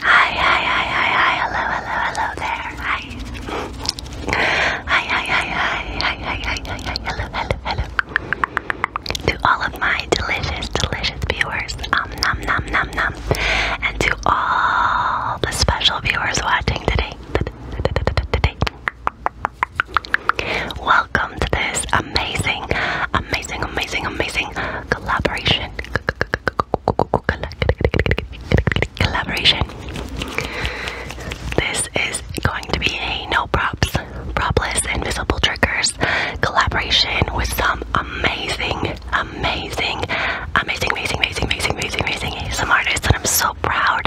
Hi, hi, hi, hi, hi, hello, hello, hello there. Hi. Hi, hi, hi, hi, hi, hi, hi, hi, hello, hello, hello. To all of my delicious, delicious viewers, um, num, num, num, num. And to all the special viewers watching today, today. Welcome to this amazing, amazing, amazing, amazing collaboration, collaboration. This is going to be a no props, propless, invisible triggers collaboration with some amazing, amazing, amazing, amazing, amazing, amazing, amazing, amazing some artists, and I'm so proud,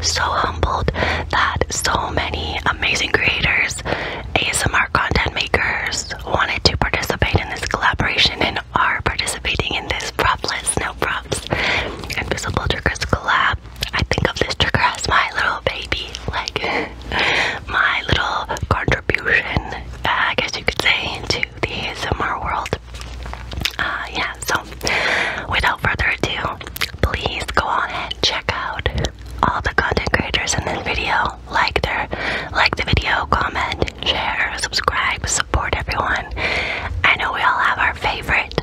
so humbled that so many amazing creators, ASMR content makers, wanted to participate in this collaboration and are participating in this propless, no props, Invisible Triggers collab. I think of this trigger my little baby, like my little contribution, uh, I guess you could say, into the ASMR world. Uh, yeah, so without further ado, please go on and check out all the content creators in this video like their like the video, comment, share, subscribe, support everyone. I know we all have our favorite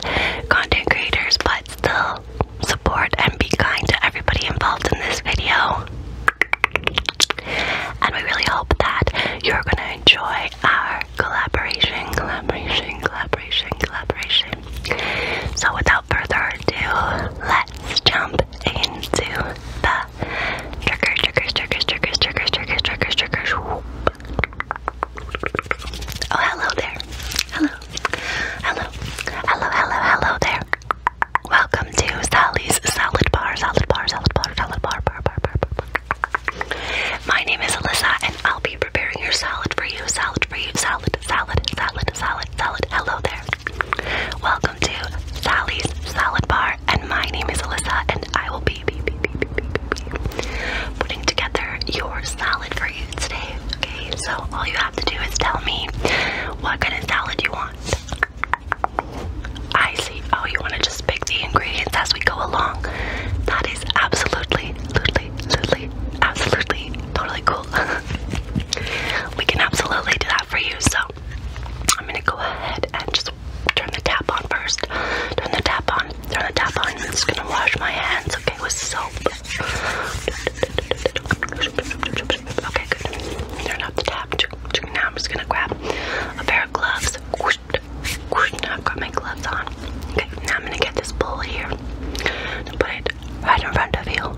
content creators, but still support and be kind to everybody involved in this video. And we really hope that you're gonna enjoy our collaboration, collaboration, collaboration, collaboration. So without further ado, let's jump into the Triggers, triggers, triggers, triggers, triggers, triggers, triggers, triggers. Whoop. Oh, hello there. Hello. Hello. Hello, hello, hello there. Welcome to Sally's Salad Bar, Salad Bar, Salad Bar, Salad Bar, Bar, Bar, Bar, Bar. My name is Alyssa, and I'll be preparing your salad for you, salad for you, salad, salad, salad, salad, salad. Hello there. Welcome to Sally's Salad Bar, and my name is Alyssa, and I will be, putting together your salad for you today. Okay, so all you have to do is tell me what kind of salad you want. I see. Oh, you want to just pick the ingredients as we go along. That is absolutely, absolutely, absolutely, absolutely, totally cool. we can absolutely do that for you. So I'm gonna go ahead and just turn the tap on first. Turn the tap on. Turn the tap on. I'm just gonna wash my hands, okay, with soap. Okay, good. Turn off the tap. Now I'm just gonna grab a pair of gloves. I've got my gloves on. now I'm gonna get this bowl here and put it right in front of you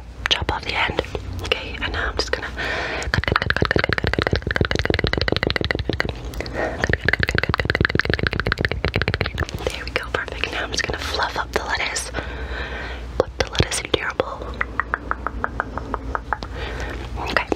chop, off the end. Okay, now I'm just gonna cut, cut, cut, cut, cut, cut, cut, cut, cut, cut, cut, cut, cut, cut, there we go, perfect. Now I'm just gonna fluff up the lettuce. Put the lettuce in your bowl. Okay.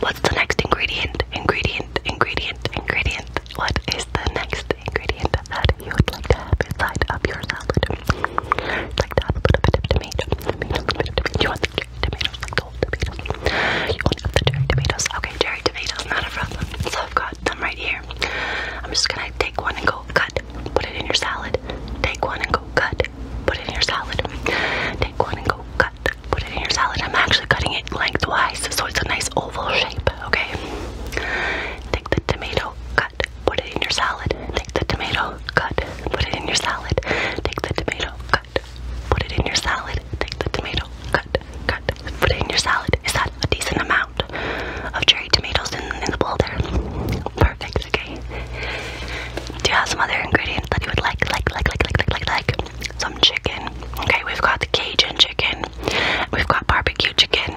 What's the next ingredient? Ingredient, ingredient, ingredient. What is the next ingredient? you would like to have inside of your salad. like to have a little bit of tomato, tomato, tomato, tomato. You want the cherry tomatoes, like the whole tomato. You want the cherry tomatoes. Okay, cherry tomatoes, not a problem. So I've got them right here. I'm just gonna take one and go cut, put it in your salad. Take one and go cut, put it in your salad. Take one and go cut, put it in your salad. I'm actually cutting it lengthwise, so it's a nice oval shape. Okay. Take the tomato, cut, put it in your salad, take the tomato, cut, put it in your salad, take the tomato, cut, put it in your salad, take the tomato, cut, cut, put it in your salad. Is that a decent amount of cherry tomatoes in, in the bowl there? Perfect, okay. Do you have some other ingredients that you would like, like, like, like, like, like, like, like? Some chicken. Okay, we've got the Cajun chicken. We've got barbecue chicken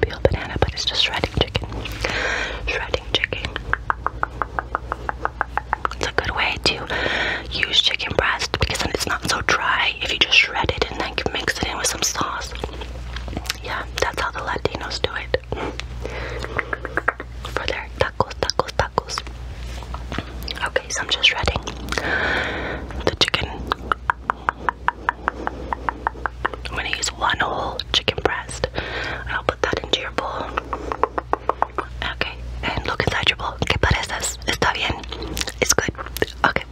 peeled banana, but it's just shredding chicken. Shredding chicken. It's a good way to use chicken breast because then it's not so dry if you just shred it and then mix it in with some sauce. Yeah, that's how the Latinos do it. For their tacos, tacos, tacos. Okay, so I'm just shredding the chicken. I'm gonna use one whole chicken breast and I'll put that into your bowl. Okay, and look inside your bowl. ¿Qué pareces? Está bien. It's good. Okay,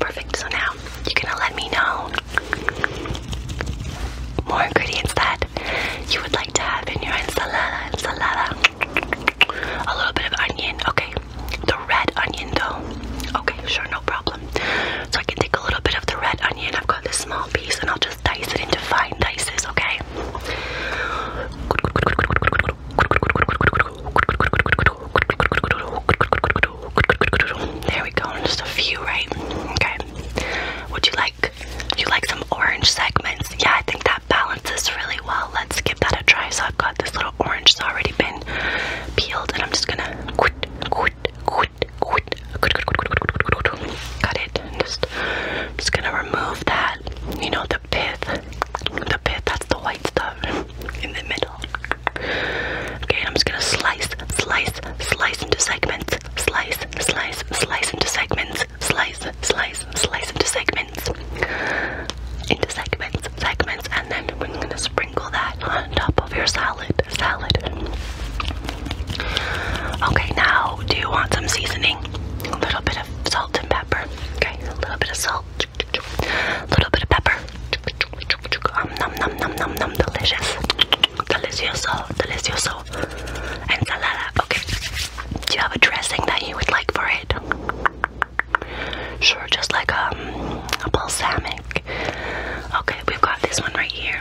perfect. So now you're gonna let me know more ingredients that you would like to have in your ensalada. Ensalada. A little bit of onion. Okay, the red onion though. Okay, sure, no problem. So I can take a little bit of the red onion. I've got this small piece and I'll just dice it into fine pieces. okay? There we go, just a few, right? Okay. Would you like you like some orange segments? Yeah, I think that balances really well. Let's give that a try. So I've got this little orange that's already been peeled and I'm just gonna Cut it. just, I'm just gonna remove that. You know the pith. The pith. That's the white stuff in the middle. Okay, I'm just gonna slice, slice, slice into segments. Slice, slice, slice into segments. Slice, slice, slice into segments. Into segments, segments, and then we're gonna sprinkle that on top of your salad salad, salad. Okay, now do you want some seasoning? A little bit of salt and pepper. Okay, a little bit of salt, a little bit of pepper. Um, num num num num num, delicious, delicioso, delicioso. Ensalada. Okay. Do you have a dressing that you would like for it? Sure, just like um, a balsamic. Okay, we've got this one right here.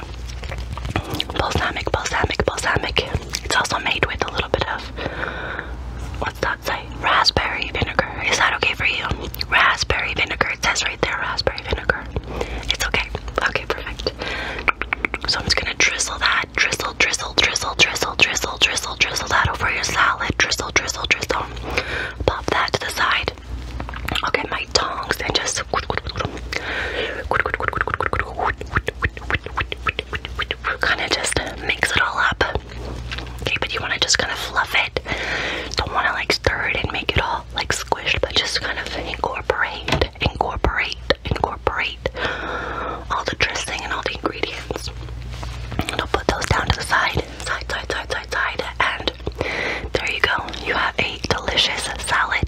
Balsamic, balsamic, balsamic. It's also made with a little bit of what's that say? Raspberry vinegar. Is that okay for you? Raspberry vinegar. It says right there, raspberry vinegar. It's okay. Okay, perfect. So I'm just gonna drizzle that. Drizzle, drizzle, drizzle, drizzle, drizzle, drizzle, drizzle that over your salad. Drizzle, drizzle, drizzle. Pop that to the side it. I'll get my tongs and just. Kind of just mix it all up. Okay, but you want to just kind of fluff it. Don't want to like stir it and make it all like squished, but just kind of incorporate, incorporate, incorporate all the dressing and all the ingredients. And I'll put those down to the side, side, side, side, side, side, and there you go. You have a delicious salad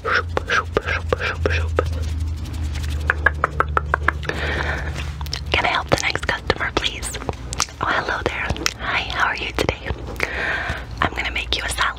Can I help the next customer, please? Oh, hello there. Hi, how are you today? I'm gonna make you a salad.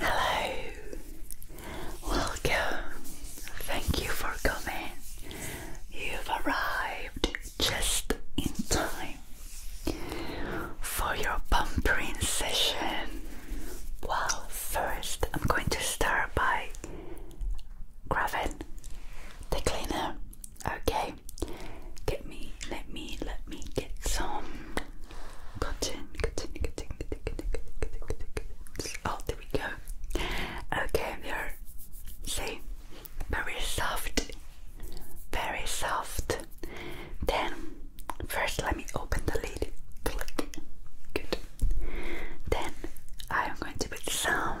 Hello, welcome. Thank you for coming. You've arrived just in time for your pampering session. Well, first, I'm going to start by grabbing the cleaner. Okay. Get me, let me, let me get some cotton, cotton, cotton, cotton, cotton, cotton, Oh, there we go. Okay, we see, very soft, very soft. Then, first let me open the lid. Good. Then, I'm going to put some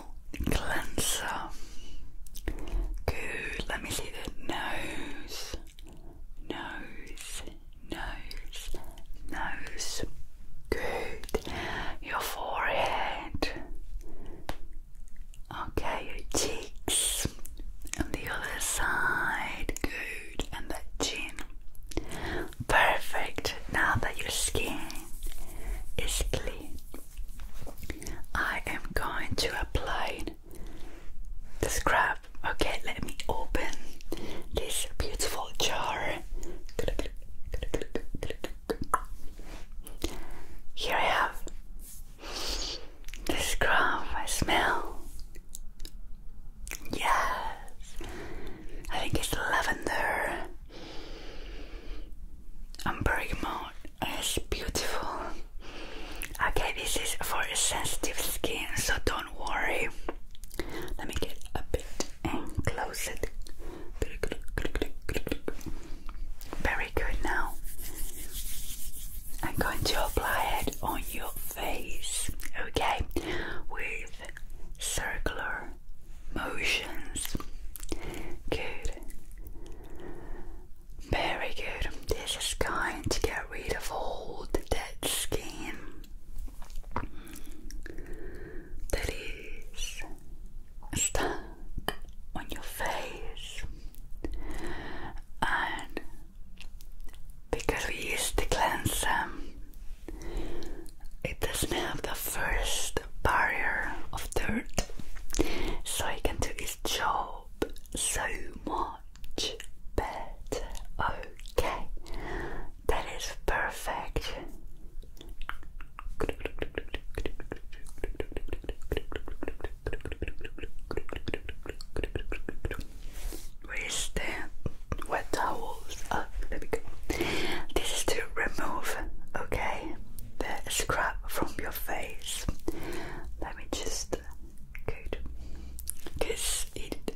oil cleanser. Good, let me see the nose, nose, nose, nose. Good, your forehead. Okay, your cheeks. And the other side. Good, and the chin. Perfect. Now that your skin is clean, I am going to apply the scrub. Okay, let me open this beautiful jar. Here I have the scrub. I smell. Yes, I think it's lavender. And bergamot is beautiful. Okay, this is for sensitive skin, so don't worry. Let me get a bit and close it. Very good now. I'm going to apply it on your face, okay? With circular motions. Good. Very good. This is going to get rid of all dead skin. That is stuck on your face, and because we use the cleanser, it doesn't have the first barrier of dirt, so it can do its job so much better. Okay, that is perfect. Where is the wet towels? Oh, there we go. This is to remove, okay? the scrub from your face. Let me just good because it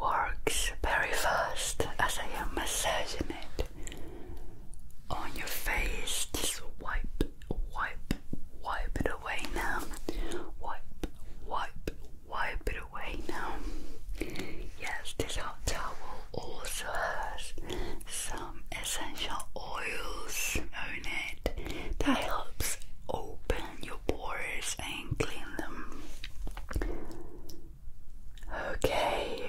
works very fast as I am massaging it on your face. Just wipe, wipe, wipe it away now. Wipe, wipe, wipe it away now. Yes, this hot towel also has some essential oils on it that helps open your pores and clean them. Okay,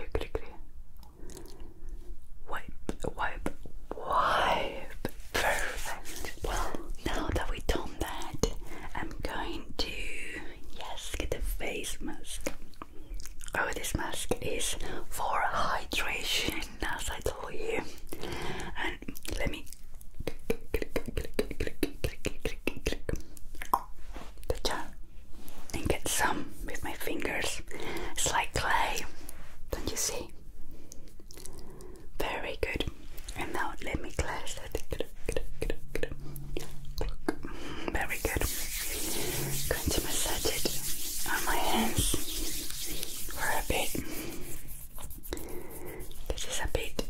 wipe, wipe, wipe. Perfect. Well, now that we done that, I'm going to Yes, get the face mask. Oh, this mask is for hydration, as I told you. And let me. The jar and get some with my fingers. It's like clay. Don't you see? Very good. And now let me cleanse very good. Going to massage it on my hands for a bit. This is a bit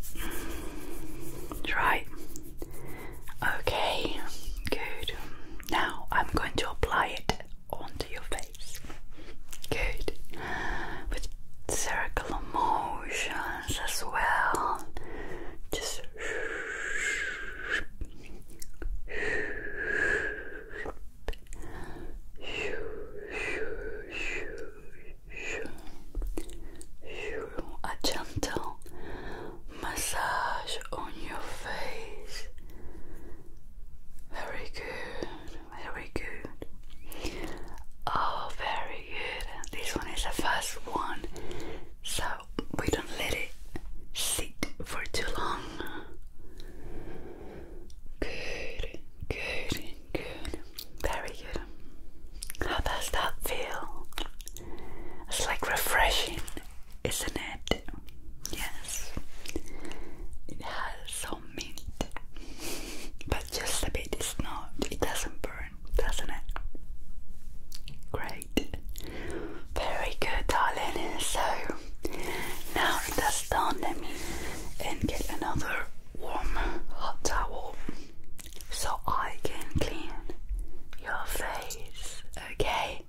dry. Okay, good. Now I'm going to apply it onto your face. Good. With circular motion as well. Just a gentle massage on your face. Very good, very good. Oh, very this one is the first one, so we don't let it sit for too long. Good, good, good. Very good. How does that feel? It's like refreshing, isn't it? Yes. It has some mint, but just a bit. It's not. It doesn't burn doesn't it? Great. Very good, darling. So now that's done, let me and get another warm hot towel so I can clean your face. Okay,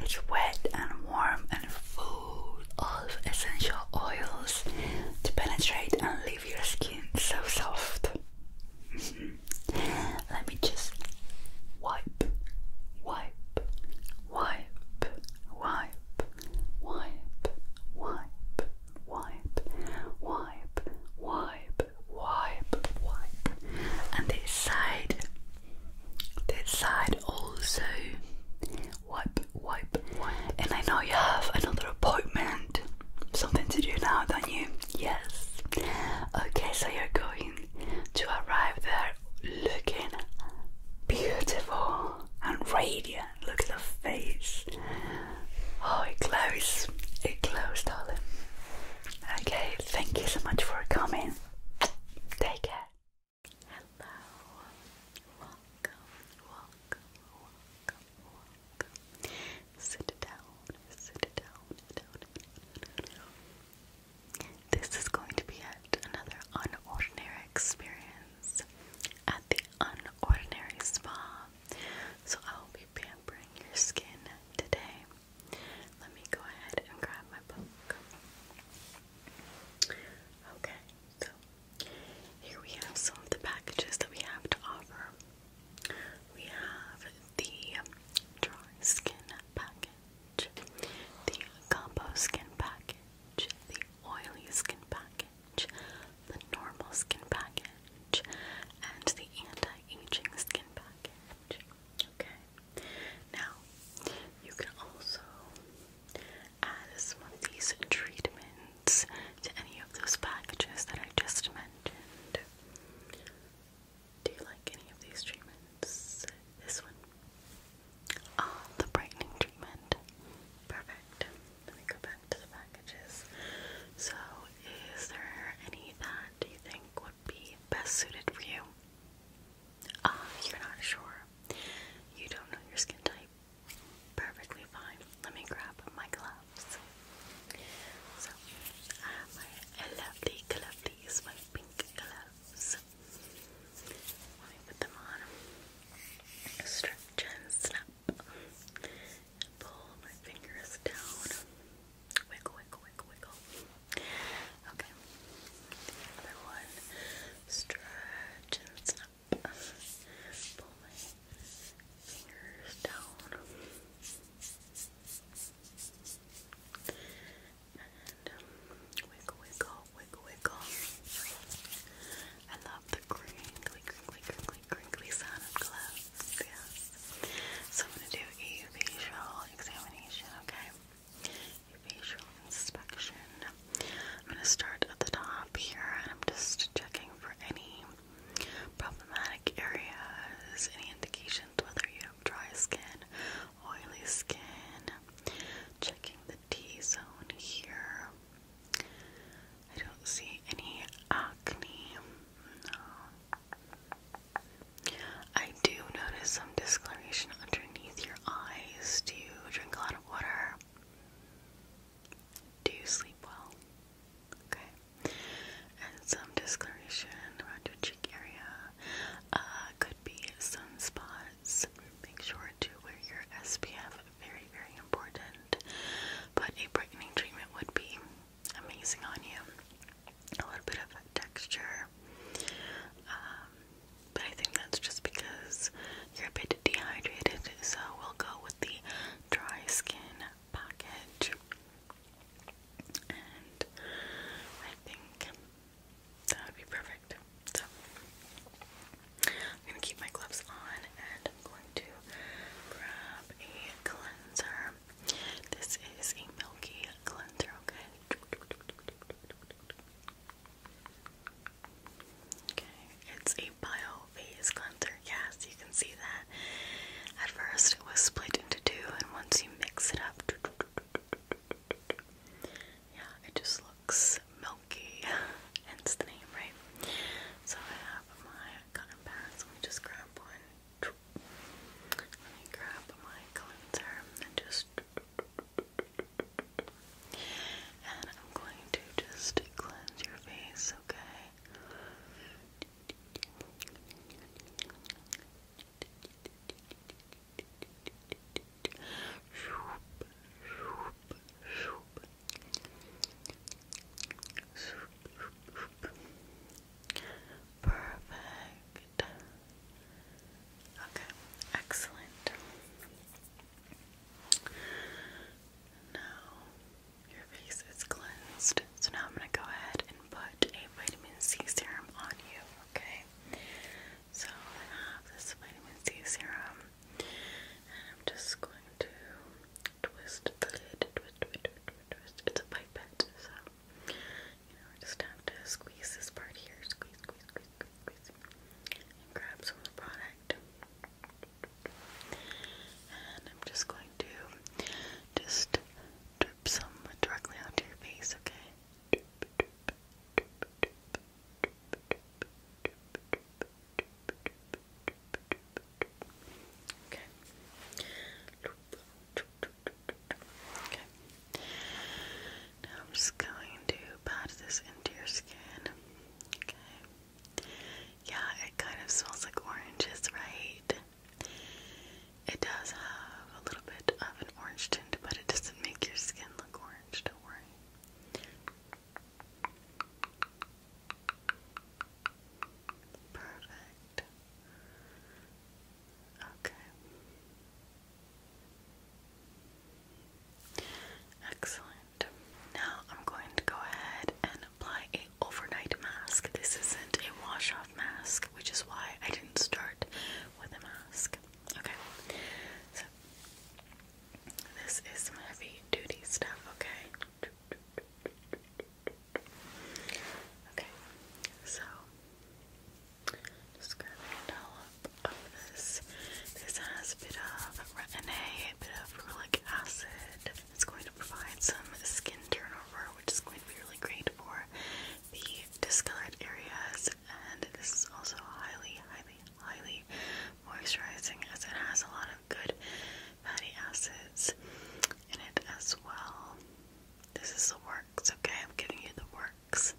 it's wet and warm and full of essential oils to penetrate and leave your skin so soft. Mm-hmm. Let me just wipe, wipe, wipe, wipe, wipe, wipe, wipe, wipe, wipe, wipe, wipe. And this side, this side also. Wipe, wipe, And I know you have another appointment, something to do now, don't you? Yes. Okay, so you're going to arrive there looking beautiful and radiant. Look at the face. Oh, it glows. It glows, darling. Okay, thank you so much for coming. Take care. Hello. Welcome, welcome, welcome, welcome. Sit down, sit down, This is going to be yet another unordinary experience at the Unordinary Spa. So I'll be pampering your skin today. Let me go ahead and grab my book. Okay, so here we have some of the packages that we have to offer. We have the dry skin package, the combo skin package, the oily skin package, the normal skin package, and the anti-aging skin package. Okay. Now you can also add some of these treatments to any of those packages that I just mentioned. Do you like any of these treatments? This one? Oh, the brightening treatment. Perfect. Let me go back to the packages. So, is there any that you think would be best suited for you? Ah, you're not sure. You don't know your skin type. Perfectly fine. Let me grab my glove. So I have my lovely gloves, my pink Let me put them on. Stretch and snap. Pull my fingers down. Wiggle, wiggle, wiggle, wiggle. Okay. The one. Stretch and snap. Pull my fingers down. Um, wiggle, wiggle, wiggle, wiggle. I love the crinkly, crinkly, crinkly, crinkly sound of gloves. Yeah. So I'm gonna do a visual examination, okay? A facial inspection. I'm gonna start at the top here, and I'm just checking for any problematic areas, any indications whether you dry skin, oily skin. Checking the T zone here. I don't see any acne. No. I do notice some discoloration underneath your eyes. Do you drink a lot of water? Do you sleep well? Okay and some discoloration around your cheek area. Uh, could be sunspots. Make sure to wear your SPF. Very, very important. But a brightening treatment would be amazing on you. A little bit of texture. Um, but I think that's just because you're a bit dehydrated, so we'll go with the dry skin package. I think that would be perfect. So I'm gonna keep my gloves on and I'm going to grab a cleanser. This is a milky cleanser, okay? Okay, it's a bio phase cleanser. Yes, you can see that. At first, it was split into two, and once you mix it up, yeah, it just looks milky. Hence the name, right? So I have my cotton pads. Let me just grab one. Let me grab my cleanser and just. And I'm going to just cleanse your face, okay? Perfect. Okay, excellent. Now your face is cleansed. So now I'm going to go ahead and put a vitamin C serum on you, okay? So I have this vitamin C serum, and I'm just going to twist the twist, twist, twist, twist. It's a pipette, so you just have to squeeze this part here, squeeze, squeeze, squeeze, squeeze, and grab some product. And I'm just going to just some directly onto your face, okay? Okay. Okay. Now I'm just going to pat this into your skin. Okay. Yeah, it kind of smells like oranges, right? It does have a little bit of an orange tint, but it doesn't make your skin look orange, don't worry. Perfect. Okay. Excellent. Now I'm going to go ahead and apply a overnight mask. This isn't a wash-off mask which is why I didn't start with a mask. Okay, so this is some heavy duty stuff, okay? Okay, so this. has a bit of retin A, a bit of rulic acid. It's going to provide some skin turnover, which is going to be really great for the discolored areas, and this is also highly, highly, highly moisturizing as it has a lot of good fatty acids in it as well. This is the works, okay? I'm giving you the works.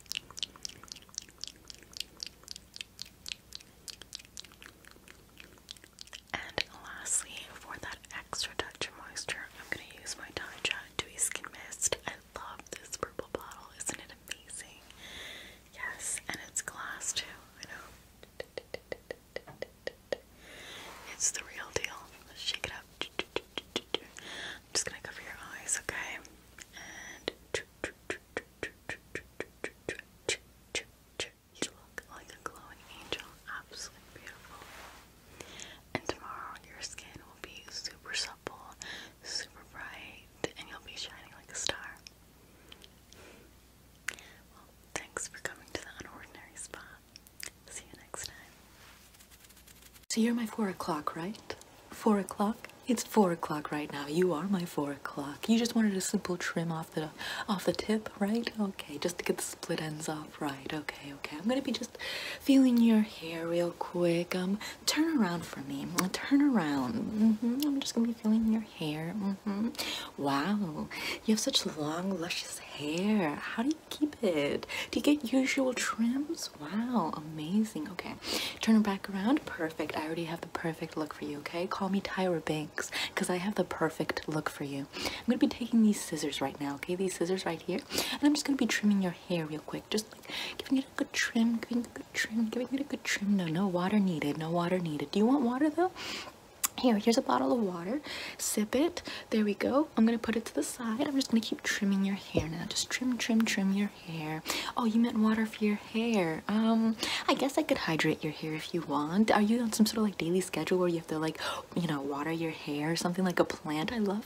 And lastly, for that extra touch of moisture, I'm going to use my Tide got skin mist. I love this purple bottle. Isn't it amazing? Yes, and it's glass too. I know. It's the real deal. shake it up. I'm just gonna cover your eyes, okay? And you look like a glowing angel. Absolutely beautiful. And tomorrow your skin will be super supple, super bright, and you'll be shining like a star. Well, thanks for coming to the unordinary spot. See you next time. So you're my four o'clock, right? Four o'clock? It's four o'clock right now. You are my four o'clock. You just wanted a simple trim off the off the tip, right? Okay, just to get the split ends off. Right, okay, okay. I'm gonna be just feeling your hair real quick. Um, turn around for me. Turn around. Mm-hmm. I'm just gonna be feeling your hair. Mm-hmm. Wow, you have such long, luscious hair. How do you keep it? Do you get usual trims? Wow, amazing. Okay, turn back around. Perfect. I already have the perfect look for you, okay? Call me Tyra Banks because I have the perfect look for you. I'm gonna be taking these scissors right now, okay? These scissors right here, and I'm just gonna be trimming your hair real quick, just giving it a good trim, giving it a good trim, giving it a good trim. No, no water needed, no water needed. Do you want water though? Here, here's a bottle of water. Sip it. There we go. I'm gonna put it to the side. I'm just gonna keep trimming your hair now. Just trim, trim, trim your hair. Oh, you meant water for your hair. Um, I guess I could hydrate your hair if you want. Are you on some sort of like daily schedule where you have to like, you know, water your hair or something like a plant? I love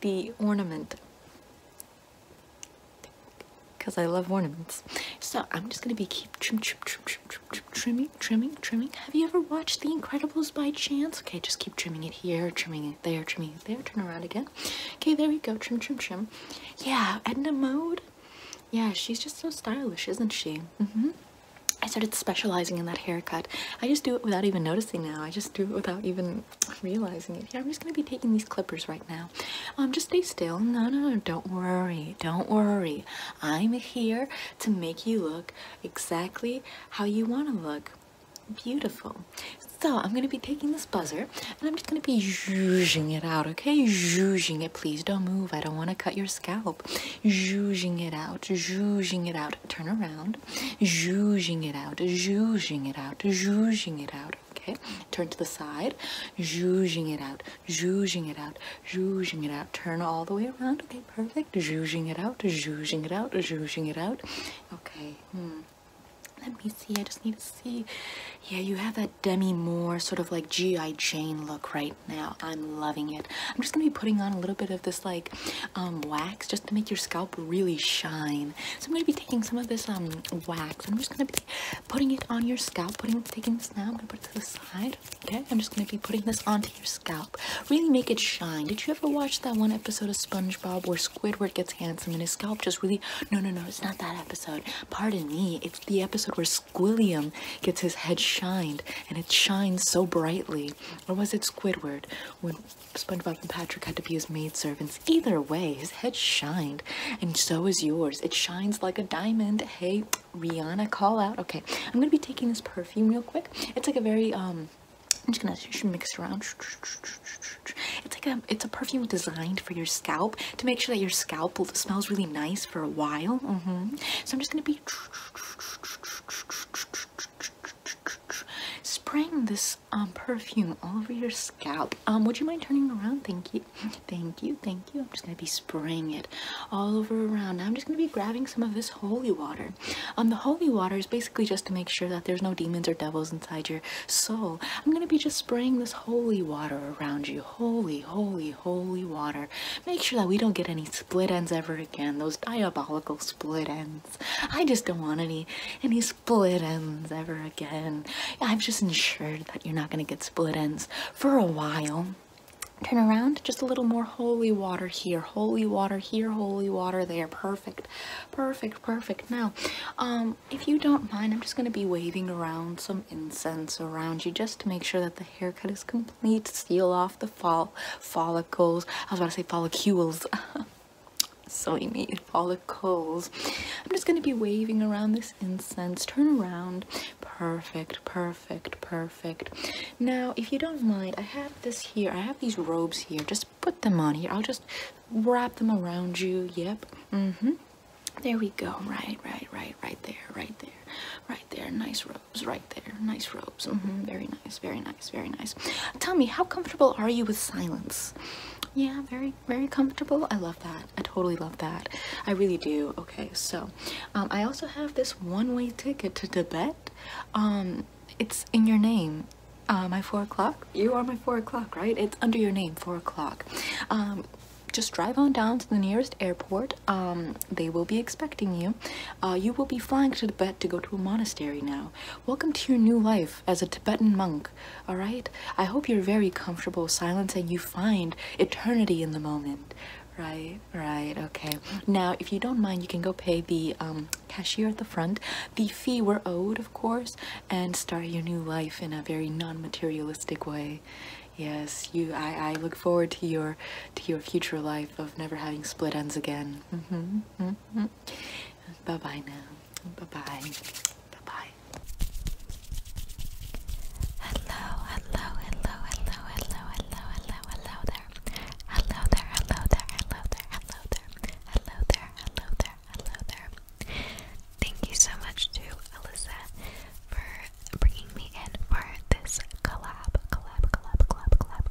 the ornament because I love ornaments. So I'm just gonna be keep trim, trim, trim, trim, trim, trimming, trimming, trimming. Have you ever watched The Incredibles by chance? Okay, just keep trimming it here, trimming it there, trimming it there. Turn around again. Okay, there you go. Trim, trim, trim. Yeah, Edna Mode. Yeah, she's just so stylish, isn't she? Mm-hmm. I started specializing in that haircut. I just do it without even noticing now. I just do it without even realizing it. I'm just going to be taking these clippers right now. Um, just stay still. No, no, no, don't worry. Don't worry. I'm here to make you look exactly how you want to look. Beautiful. So I'm going to be taking this buzzer and I'm just going to be zhuzhing it out, okay? Zhuzhing it. Please don't move. I don't want to cut your scalp. Zhuzhing it out. Zhuzhing it out turn around, zhuzhing it out, zhuzhing it out, zhuzhing it out. Okay, turn to the side, zhuzhing it out, zhuzhing it out, zhuzhing it out. Turn all the way around. Okay, perfect. Zhuzhing it out, zhuzhing it out, zhuzhing it out. Okay. Hmm. Let me see. I just need to see. Yeah, you have that Demi Moore sort of like G.I. Jane look right now. I'm loving it. I'm just gonna be putting on a little bit of this like um, wax. Just to make your scalp really shine. So I'm going to be taking some of this um, wax I'm just going to be putting it on your scalp, putting taking this now, I'm going to put it to the side, okay? I'm just going to be putting this onto your scalp. Really make it shine. Did you ever watch that one episode of SpongeBob where Squidward gets handsome and his scalp just really, no, no, no, it's not that episode. Pardon me, it's the episode where Squilliam gets his head shined and it shines so brightly. Or was it Squidward? when SpongeBob and Patrick had to be his maidservants. Either way, his head shined, and so is yours. It shines like a diamond. Hey, Rihanna, call out. Okay, I'm gonna be taking this perfume real quick. It's like a very, um, I'm just gonna mix around. It's like a, it's a perfume designed for your scalp to make sure that your scalp smells really nice for a while. Mm-hmm. So I'm just gonna be spraying this um, perfume all over your scalp. Um, would you mind turning around? Thank you. Thank you. Thank you. I'm just going to be spraying it all over around. Now I'm just going to be grabbing some of this holy water. Um, the holy water is basically just to make sure that there's no demons or devils inside your soul. I'm going to be just spraying this holy water around you. Holy, holy, holy water. Make sure that we don't get any split ends ever again. Those diabolical split ends. I just don't want any any split ends ever again. I've just ensured that you're not gonna get split ends for a while. Turn around, just a little more holy water here, holy water here, holy water there. Perfect, perfect, perfect. Now, um, if you don't mind, I'm just going to be waving around some incense around you just to make sure that the haircut is complete, seal off the fall follicles. I was about to say follicules. so you follicles. I'm just going to be waving around this incense. Turn around. Perfect, perfect, perfect. Now, if you don't mind, I have this here. I have these robes here. Just put them on here. I'll just wrap them around you. Yep. Mm-hmm. There we go. Right, right, right, right there, right there, right there. Nice robes, right there. Nice robes. Mm-hmm. Very it's very nice, very nice. Tell me, how comfortable are you with silence? Yeah, very, very comfortable. I love that. I totally love that. I really do. Okay, so um, I also have this one-way ticket to Tibet. Um, it's in your name. Uh, my four o'clock. You are my four o'clock, right? It's under your name, four o'clock. Um, just drive on down to the nearest airport. they will be expecting you. Uh, you will be flying to Tibet to go to a monastery now. Welcome to your new life as a Tibetan monk, alright? I hope you're very comfortable with and you find eternity in the moment. Right, right, okay. Now, if you don't mind, you can go pay the um, cashier at the front the fee we're owed, of course, and start your new life in a very non-materialistic way. Yes, you. I, I look forward to your to your future life of never having split ends again. Mm -hmm, mm -hmm. Bye bye now. Bye-bye. Bye-bye. Hello, hello, hello, hello, hello, hello, hello, hello there. Hello there, hello there, hello there, hello there, hello there, hello there, hello there. Thank you so much to Alyssa for bringing me in for this collab, collab, collab, collab, collab,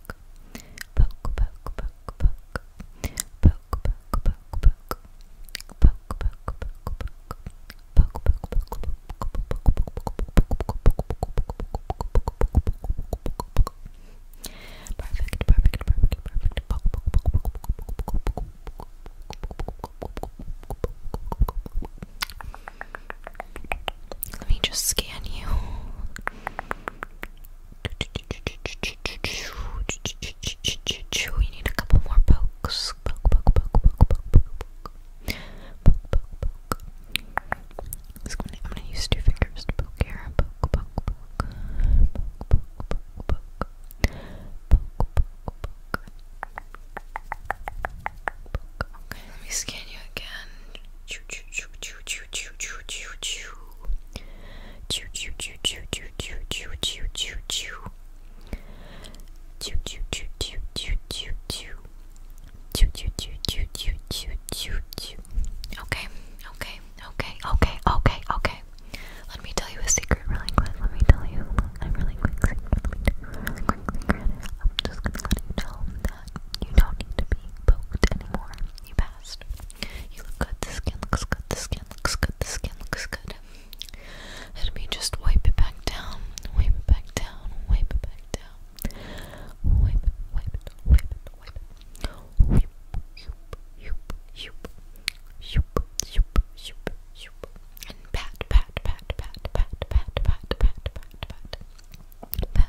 Perfect, perfect, perfect, perfect. Let me just scan you. We need a couple more pokes. I'm gonna use two fingers to poke here. let me scan you again. Okay, okay, okay, okay, okay, okay. Let me tell you a secret really quick. Let me tell you a really quick secret. Really quick secret. i just gonna let you know that you don't need to be poked anymore. You passed. You look good, the skin looks good, the skin looks good, the skin looks good. Let me just wipe it back down, wipe it back down, wipe it back down. Wipe it, wipe it, wipe it, wipe it. Wipe, yoop, yoop, yoop, yoop, yoop, yoop, yoop. And pat, pat, pat, pat, pat, pat, pat, pat, pat, pat. Pat,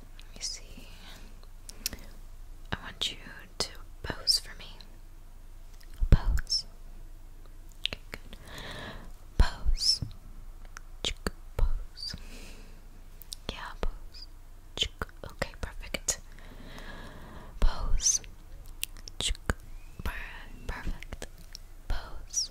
Let me see. I want you to pose for me. Pose. Okay, good. Pose. Chick, pose. Yeah, pose. Chick. Okay, perfect. Pose. Chick. Perfect. Pose.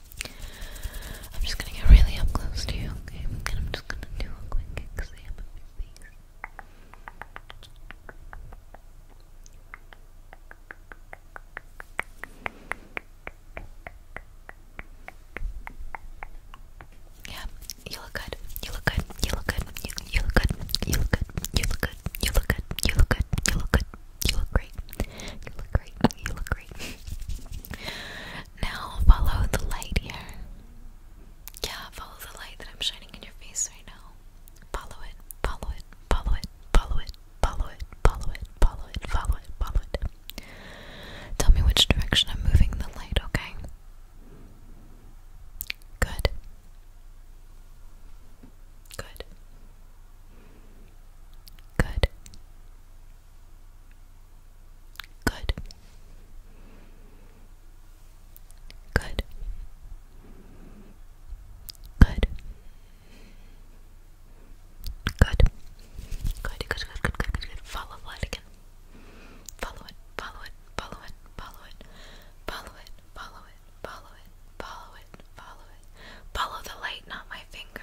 I'm just gonna get really up close to you, okay? And I'm just gonna do a quick exam of your face. Yeah, you look good. You look good. You look good. You, look good. You look good. You look good. You look good. You look good. You look good. You look great. You look great. You look great. now follow the light here. Yeah, follow the light that I'm shining in your face right now. Follow it. Follow it. Follow it. Follow it. Follow it. Follow it. Follow it. Follow it. Follow it. Tell me which direction I'm moving the light, okay? Good. Good. Good. Good. Good. Good. Good. Good. Good. Good. Good. Good. Good. Good. Follow that again. Follow it. Follow it. Follow it. Follow it. Follow it. Follow it. Follow it. Follow it. Follow it. Follow the light, not my finger.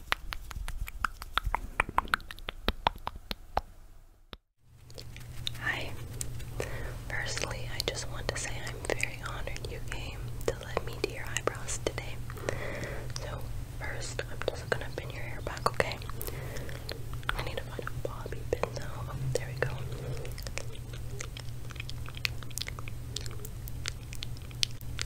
Hi. Firstly, I just want to say I'm very honored you came to let me do your eyebrows today. So, first, I'm just gonna pin your hair back, okay? I need to find a bobby pin now. there we go.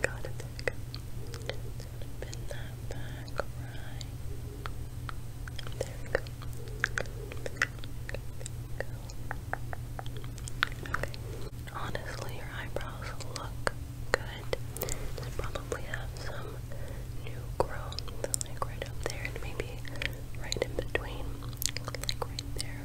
Got it. Back. Bend that back, right? There we go. There we go. Okay. Honestly, your eyebrows look good. They probably have some new growth, like right up there, and maybe right in between, like right there.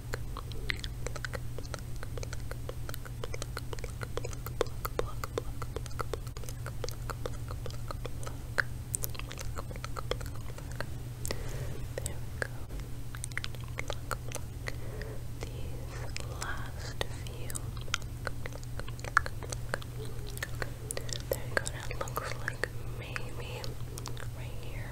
There we go. That looks like maybe right here.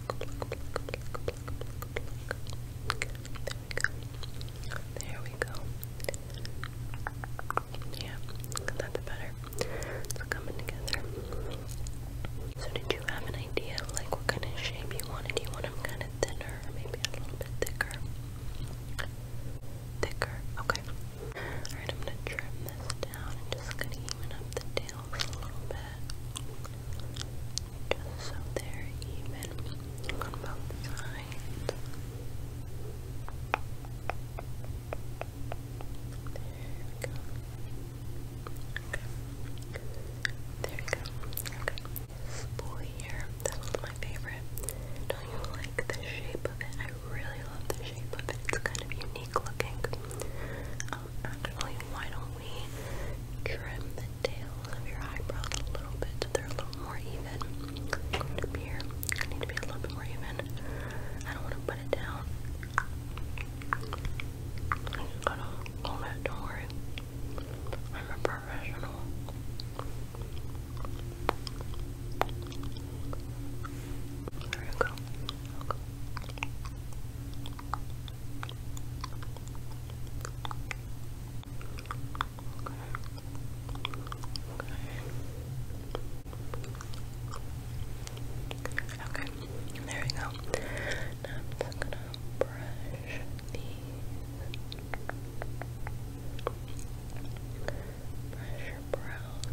There we go. There we go. Yeah, that's better. It's coming together. So did you have an idea of like what kind of shape you wanted? Do you want them kind of thinner maybe a little bit thicker? Thicker, okay. Alright, I'm gonna trim this down and just gonna even up the tails a little bit just so they're even on both sides. There we go. There we go. Okay. This that one's my favorite. Don't you like the shape of it? I really love the shape of it. It's kind of unique looking. Um, actually, why don't trim the tails of your eyebrows a little bit they're a little more even. here, I need to be a little bit more even. I don't want to put it down. I just gotta hold it, don't worry. I'm a professional. There you go. Okay. Okay. There we go. Now I'm gonna brush these. Brush brows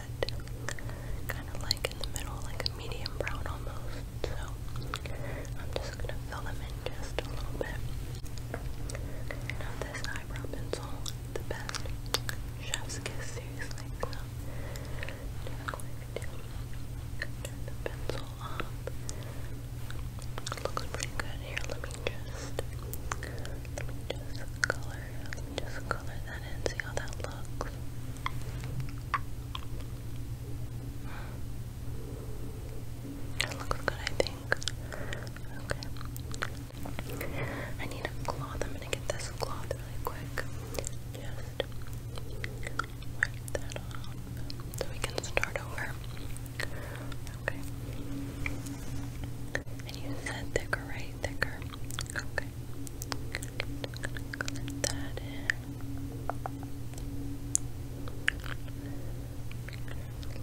but kind of like in the middle, like a medium brown almost. So I'm just gonna fill them in just a little bit. Now this eyebrow pencil, the best. Chef's kiss, seriously. turn the pencil off. It pretty good here. Let me just just color just color that in, see how that looks. It looks good, I think. Okay. I need a cloth. I'm gonna get this cloth really quick. Just wipe that off so we can start over. Okay. And you said thicker, right? Thicker. Okay. Just gonna cut that in.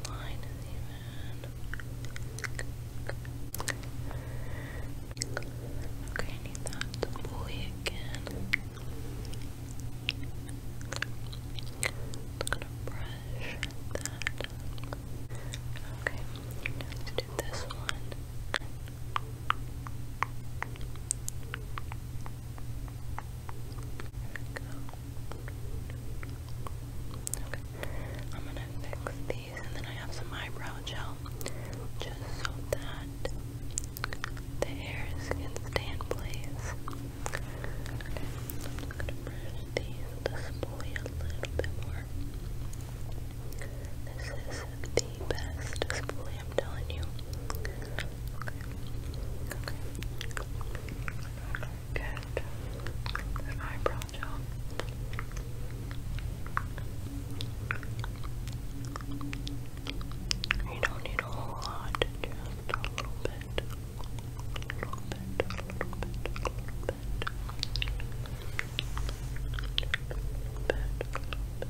Line is even. Okay, need that to bully again. gonna brush that. Okay, let this one. Okay. I'm gonna fix these and then I have some eyebrow gel just so that the hairs can stay place. Okay, I'm gonna brush these this way a little bit more. This is the best spoolie, I'm telling you. Okay. Okay. Get eyebrow gel. You don't need a whole lot, just a little bit. A little bit, a little bit, a little bit. A little bit, a little bit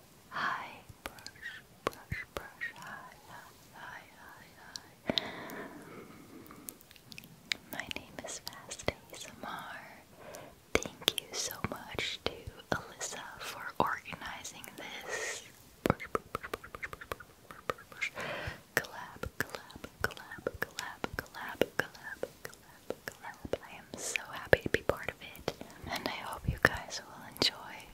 high brush, brush, brush, high, high, high, high, high. My name is Fast Thank you so much to Alyssa for organizing this brush, brush, brush, brush, brush, brush, brush, collab, collab, I am so happy to be part of it, and I hope you guys will enjoy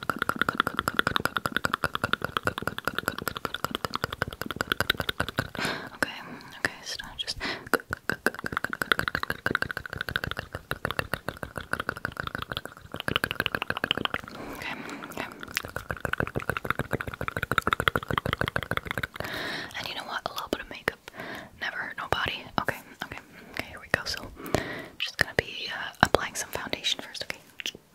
Okay, okay, so just Okay, okay. And you know what? A little bit of makeup never hurt nobody. Okay, okay, okay, here we go. So, I'm just gonna be uh, applying some foundation first, okay? Okay,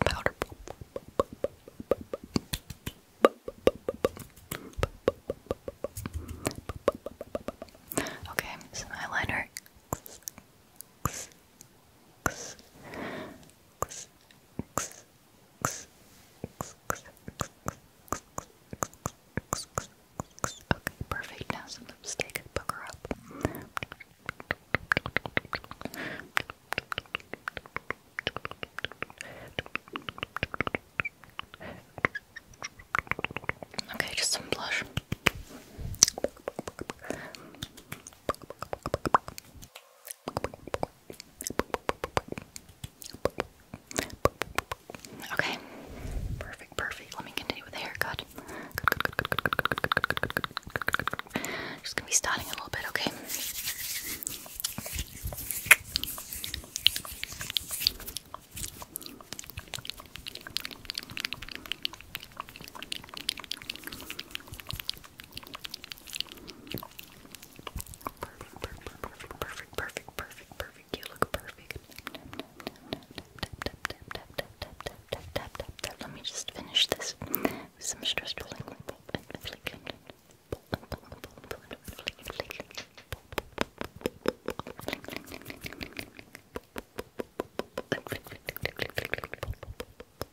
powder. Okay, some eyeliner. X, X, X, X, X, X, X, X, X, X, X. Okay, perfect. Now some lipstick. Book her up. Okay, just some blush. Okay. Perfect, perfect. Let me continue with the haircut. Just gonna be styling a little bit, okay? Perfect, perfect, perfect, perfect, perfect, perfect, perfect. You look perfect. Let me just finish this with some stress rolling. Flick, flick, flick, flick, flick, flick, flick, flick,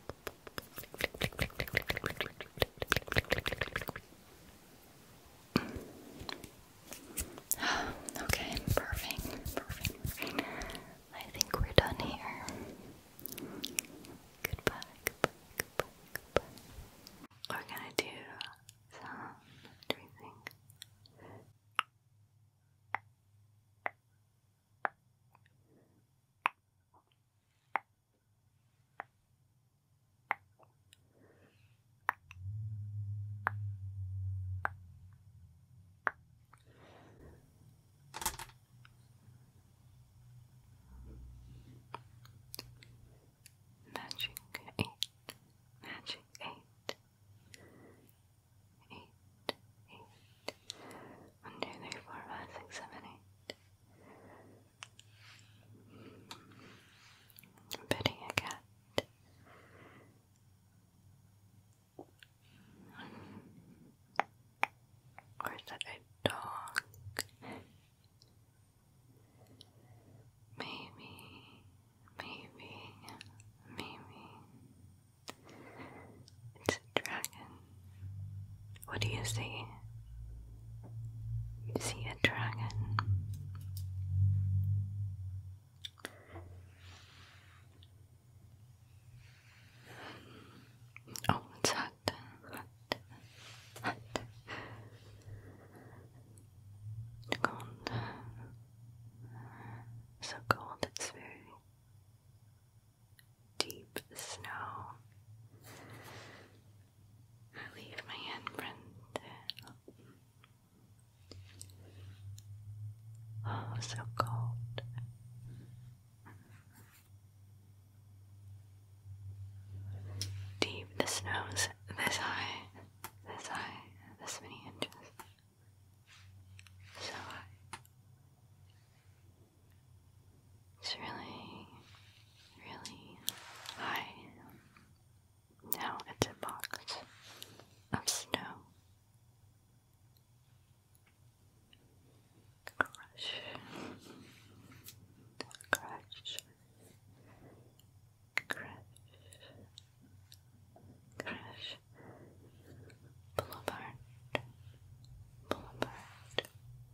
Mm. okay, perfect, I think we're done here. Goodbye, We're gonna do some everything. Magic eight, magic eight, eight, eight. One, two, three, four, five, six, seven, eight. Petting a cat. Or is that a dog? Maybe, maybe, maybe dragon. What do you see? see a dragon. Oh, hot, hot, hot. Cold. So cold, it's very deep snow. I leave my handprint Oh, so cold. Deep, the snow's this high, this high, this many inches. So high. It's really, really high. Now it's a box of snow. Crush. Crush. Crush. Crush. Boulevard. Boulevard.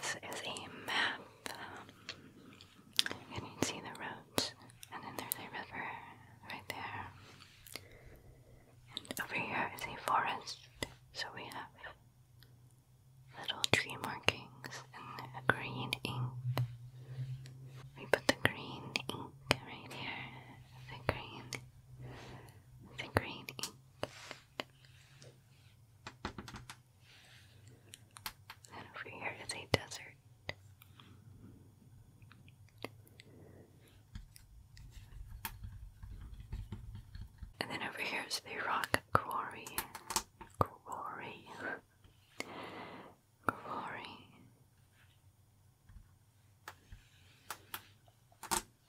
This is a map. and you can see the roads, and then there's a river right there. And over here is a forest, so we have little tree markings in green ink. We put the green ink right here, the green the green ink. And over here is a desert. And then over here is the rock quarry. Quarry. Quarry.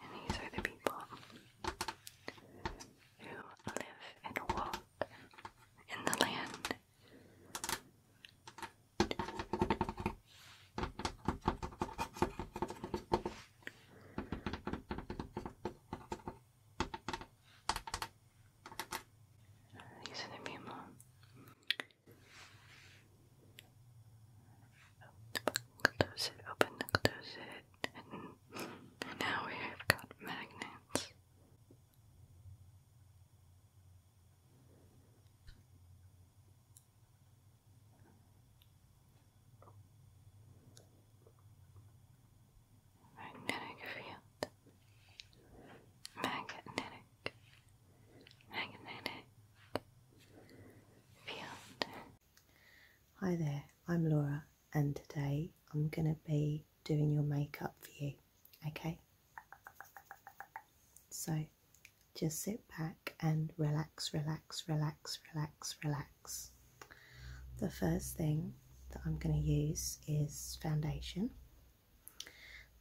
And these are the people who live and walk in the land. These are the people Close it, open the close it, and now we have got magnets. Magnetic field. Magnetic. Magnetic field. Hi there, I'm Laura, and today I'm going to be doing your makeup for you, okay? So just sit back and relax, relax, relax, relax, relax. The first thing that I'm going to use is foundation.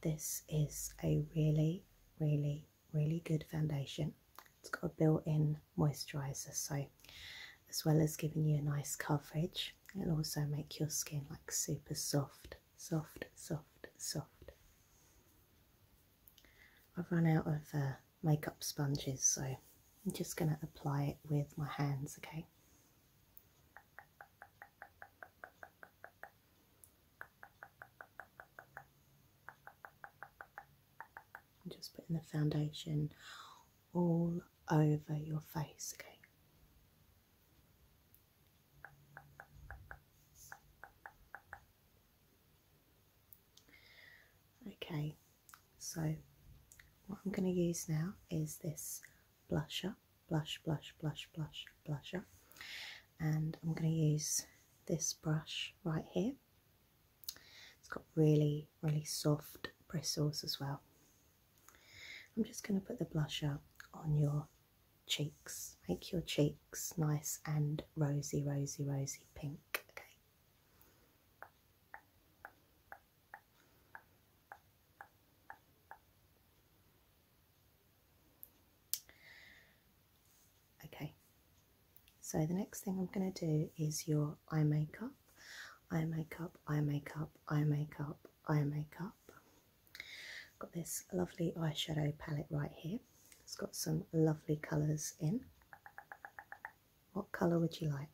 This is a really, really really good foundation. It's got a built-in moisturizer, so as well as giving you a nice coverage, it'll also make your skin like super soft, soft, soft, soft. I've run out of uh, makeup sponges, so I'm just going to apply it with my hands, okay? I'm just putting the foundation all over your face, okay? Okay, so what I'm going to use now is this blusher, blush, blush, blush, blush, blusher, and I'm going to use this brush right here. It's got really, really soft bristles as well. I'm just going to put the blusher on your cheeks. Make your cheeks nice and rosy, rosy, rosy pink. Okay. Okay, so the next thing I'm going to do is your eye makeup. Eye makeup, eye makeup, eye makeup, eye makeup. Got this lovely eyeshadow palette right here. It's got some lovely colours in. What colour would you like?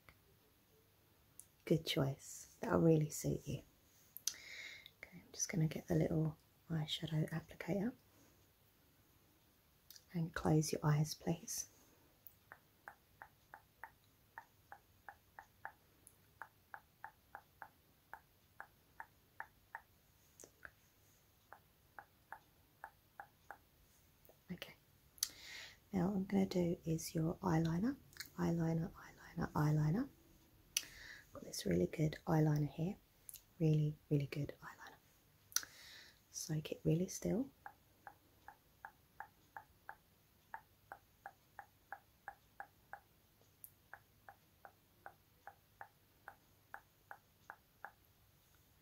Good choice. That'll really suit you. Okay, I'm just going to get the little eyeshadow applicator. And close your eyes, please. Okay, now what I'm going to do is your eyeliner, eyeliner, eyeliner, eyeliner. got this really good eyeliner here, really, really good eyeliner. Soak it really still.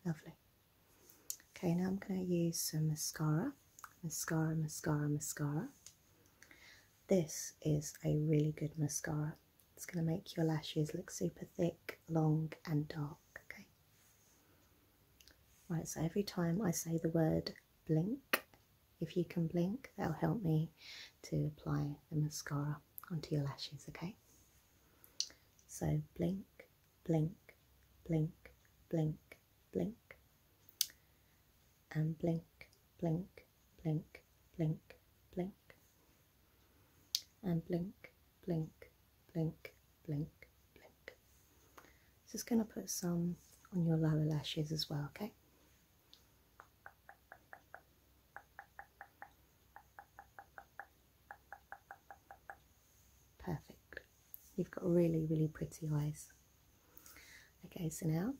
Lovely. Okay, now I'm going to use some mascara. Mascara, mascara, mascara. This is a really good mascara. It's going to make your lashes look super thick, long and dark. Okay. Right, so every time I say the word blink, if you can blink, that'll help me to apply the mascara onto your lashes, okay? So blink, blink, blink, blink, blink, and blink, blink, blink, blink, blink, and blink, blink, blink, blink, blink. Just going to put some on your lower lashes as well, okay? Perfect. You've got really, really pretty eyes. Okay, so now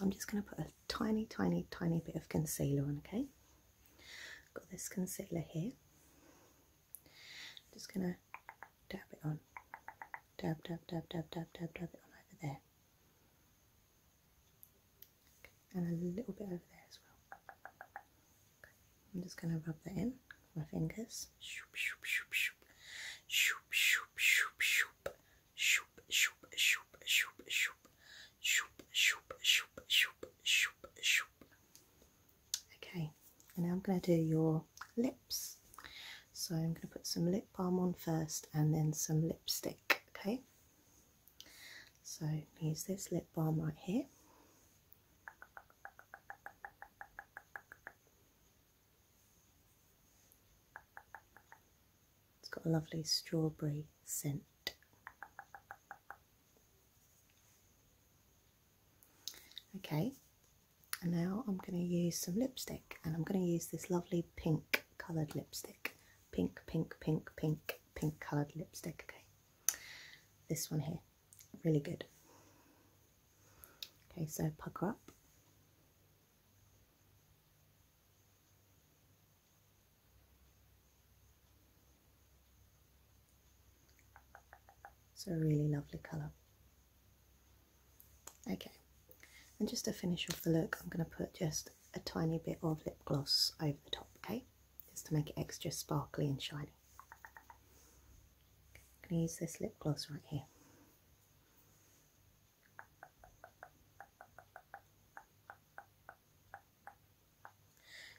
I'm just going to put a tiny, tiny, tiny bit of concealer on, okay? Got this concealer here. I'm just gonna tap it on. Tap, tap, tap, tap, tap, tap, tap it on over there. Okay. And a little bit over there as well. Okay. I'm just gonna rub that in with my fingers. Shoop, shoop, shoop, shoop. Shoop, shoop, shoop, shoop. Shoop, shoop, shoop, shoop, shoop. Shoop, shoop, shoop, shoop, shoop, shoop. Okay, and now I'm going to do your lips. So I'm going to put some lip balm on first and then some lipstick. Okay, so use this lip balm right here. It's got a lovely strawberry scent. Okay, and now I'm going to use some lipstick and I'm going to use this lovely pink coloured lipstick. Pink, pink, pink, pink, pink coloured lipstick. Okay, this one here, really good. Okay, so pucker up. It's a really lovely colour. Okay, and just to finish off the look, I'm going to put just a tiny bit of lip gloss over the top, okay? Just to make it extra sparkly and shiny. I'm going to use this lip gloss right here.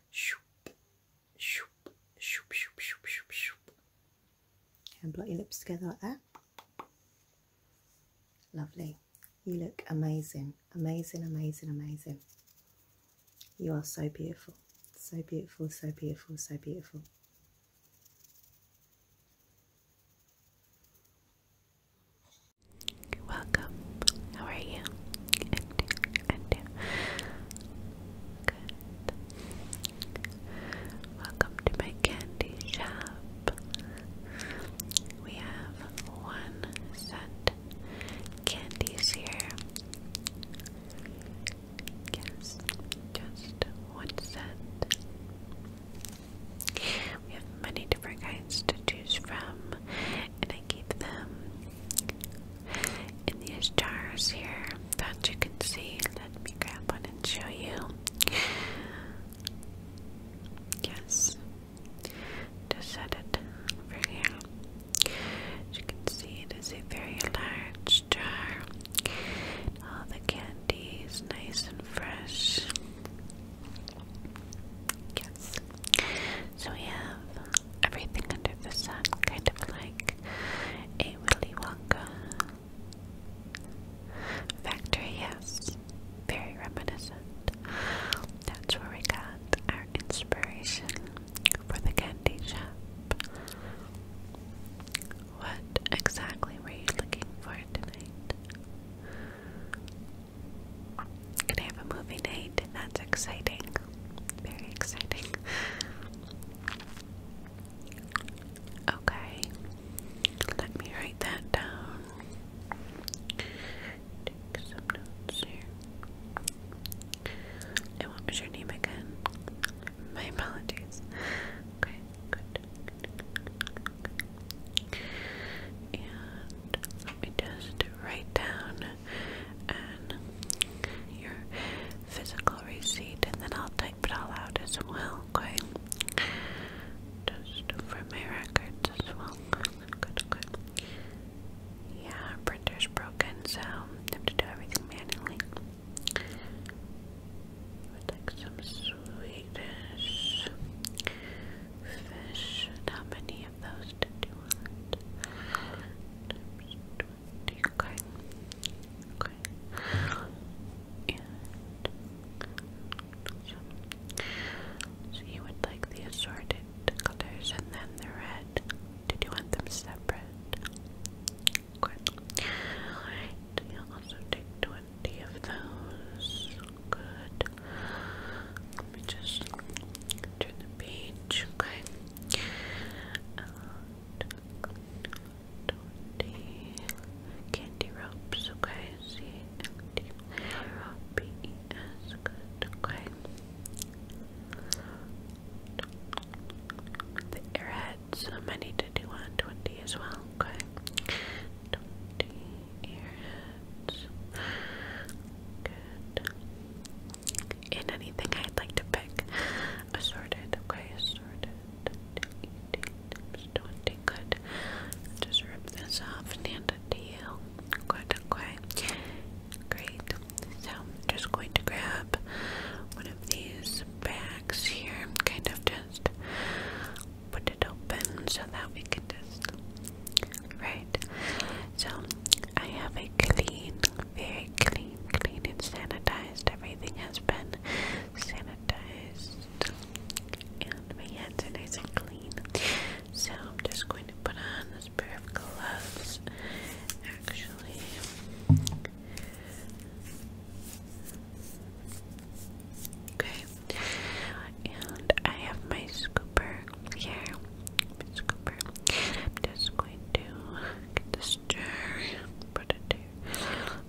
Shoop, shoop, shoop, shoop, shoop, shoop, And blot your lips together like that. Lovely. You look amazing, amazing, amazing, amazing. You are so beautiful, so beautiful, so beautiful, so beautiful. Welcome. How are you? Welcome to my candy shop. We have one set candies here. Yes, just one We have many different kinds to choose from, and I keep them in these jars here that you can see. Let me grab one and show you. Yes, just set it over here. As you can see, it is a very large jar. All the candy is nice and fresh. Yes. So we have everything under the sun, kind of like a Willy Wonka factory, yes, very reminiscent. That's where we got our inspiration for the candy shop. What exactly were you looking for tonight? Can I have a movie date? and that's exciting very exciting. Okay, let me write that down. Take was your name again? My apologies. Okay, good. And let me just write down and uh, your physical receipt and then I'll type it all out as well, okay? Just for my records as well. Good, good. Yeah, printer's broken, so have to do everything manually. like some Swedish fish. how many of those did you want? Okay. you would like the assorted colors and then the red. Did you want them separate? Good. will also take twenty of those. Good. Let me just turn the page, okay? Uh, Twenty candy ropes, okay? C A N D R O P E S. Good, okay. The airheads, I need to do one twenty as well, okay? Twenty airheads. Good in anything I'd like to pick. Assorted, okay, assorted. Don't good. Just rip this off and hand it Good, Great. So just going to grab one of these bags here kind of just put it open so that we can just right. So I have a clean very clean, clean and sanitized. Everything has been sanitized and my hands and clean. So I'm just going to put on this pair of gloves. Actually, okay, and I have my scooper here. My scooper. I'm just going to get this Put it there.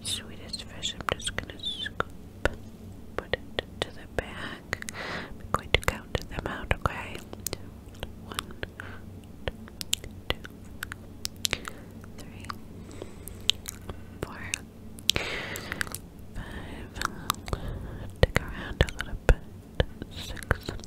Sweetest fish. I'm just gonna scoop. Put it to the back. I'm going to count them out. Okay. One, two, three, four, five. Dig around a little bit. Six, seven,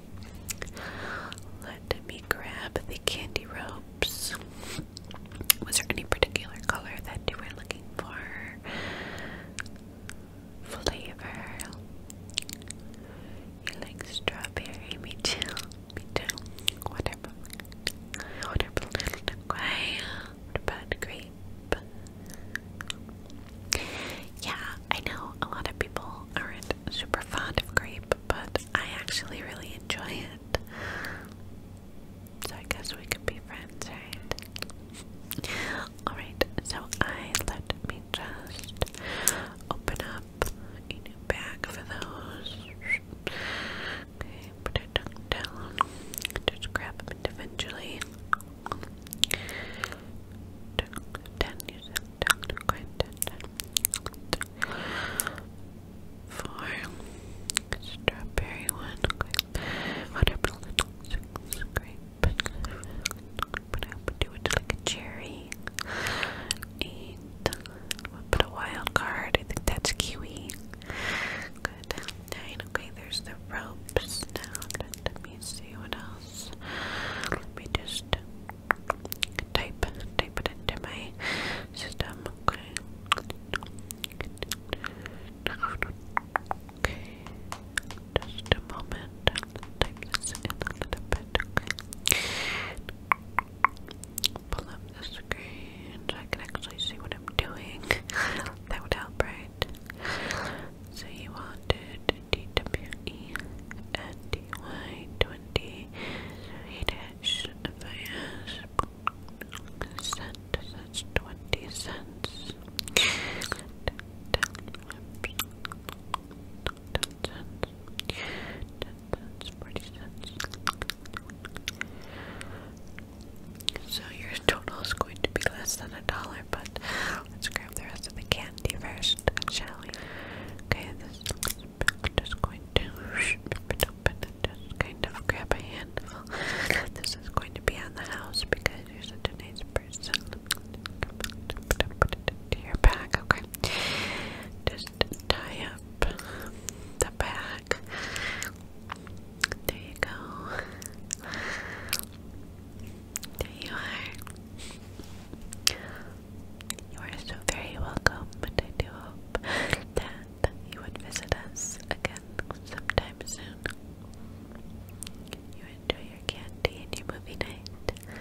Let me grab the candy ropes. Was there any particular color that you were looking for? Flavor. You like strawberry? Me too. Me too. Whatever. Whatever. What about grape? Yeah, I know a lot of people aren't super fond of grape, but I actually really enjoy it. So I guess we could be friends, right? Alright, so I let me just open up a new bag for those. Okay, put it down. Just grab them individually. Ten, you said, ten, ten, ten, ten, ten, four, strawberry one, grape, watermelon, six, grape, but I do it like a cherry, eight, we'll a wild card, I think that's kiwi, good, nine, okay, there's the ropes now, let me see what else, let me just type, type it into system. Okay. Okay. Just a moment. Type this in a little bit. Pull up the screen so I can actually see what I'm doing. that would help, right? So you wanted DWE 20 So did fish if 20 cents. Ten, ten, ten cents. Ten cents, 40 cents. So your total is going to be less than a dollar, but let's grab the rest of the candy first, shall we? Okay, I'm just going to rip it open and just kind of grab a handful. this is going to be on the house because you're such a nice person. Put it into your back, okay? Just tie up the back. There you go. There you are. You are so very welcome, but I do hope that you would visit us again sometime soon. You enjoy your candy and your movie night.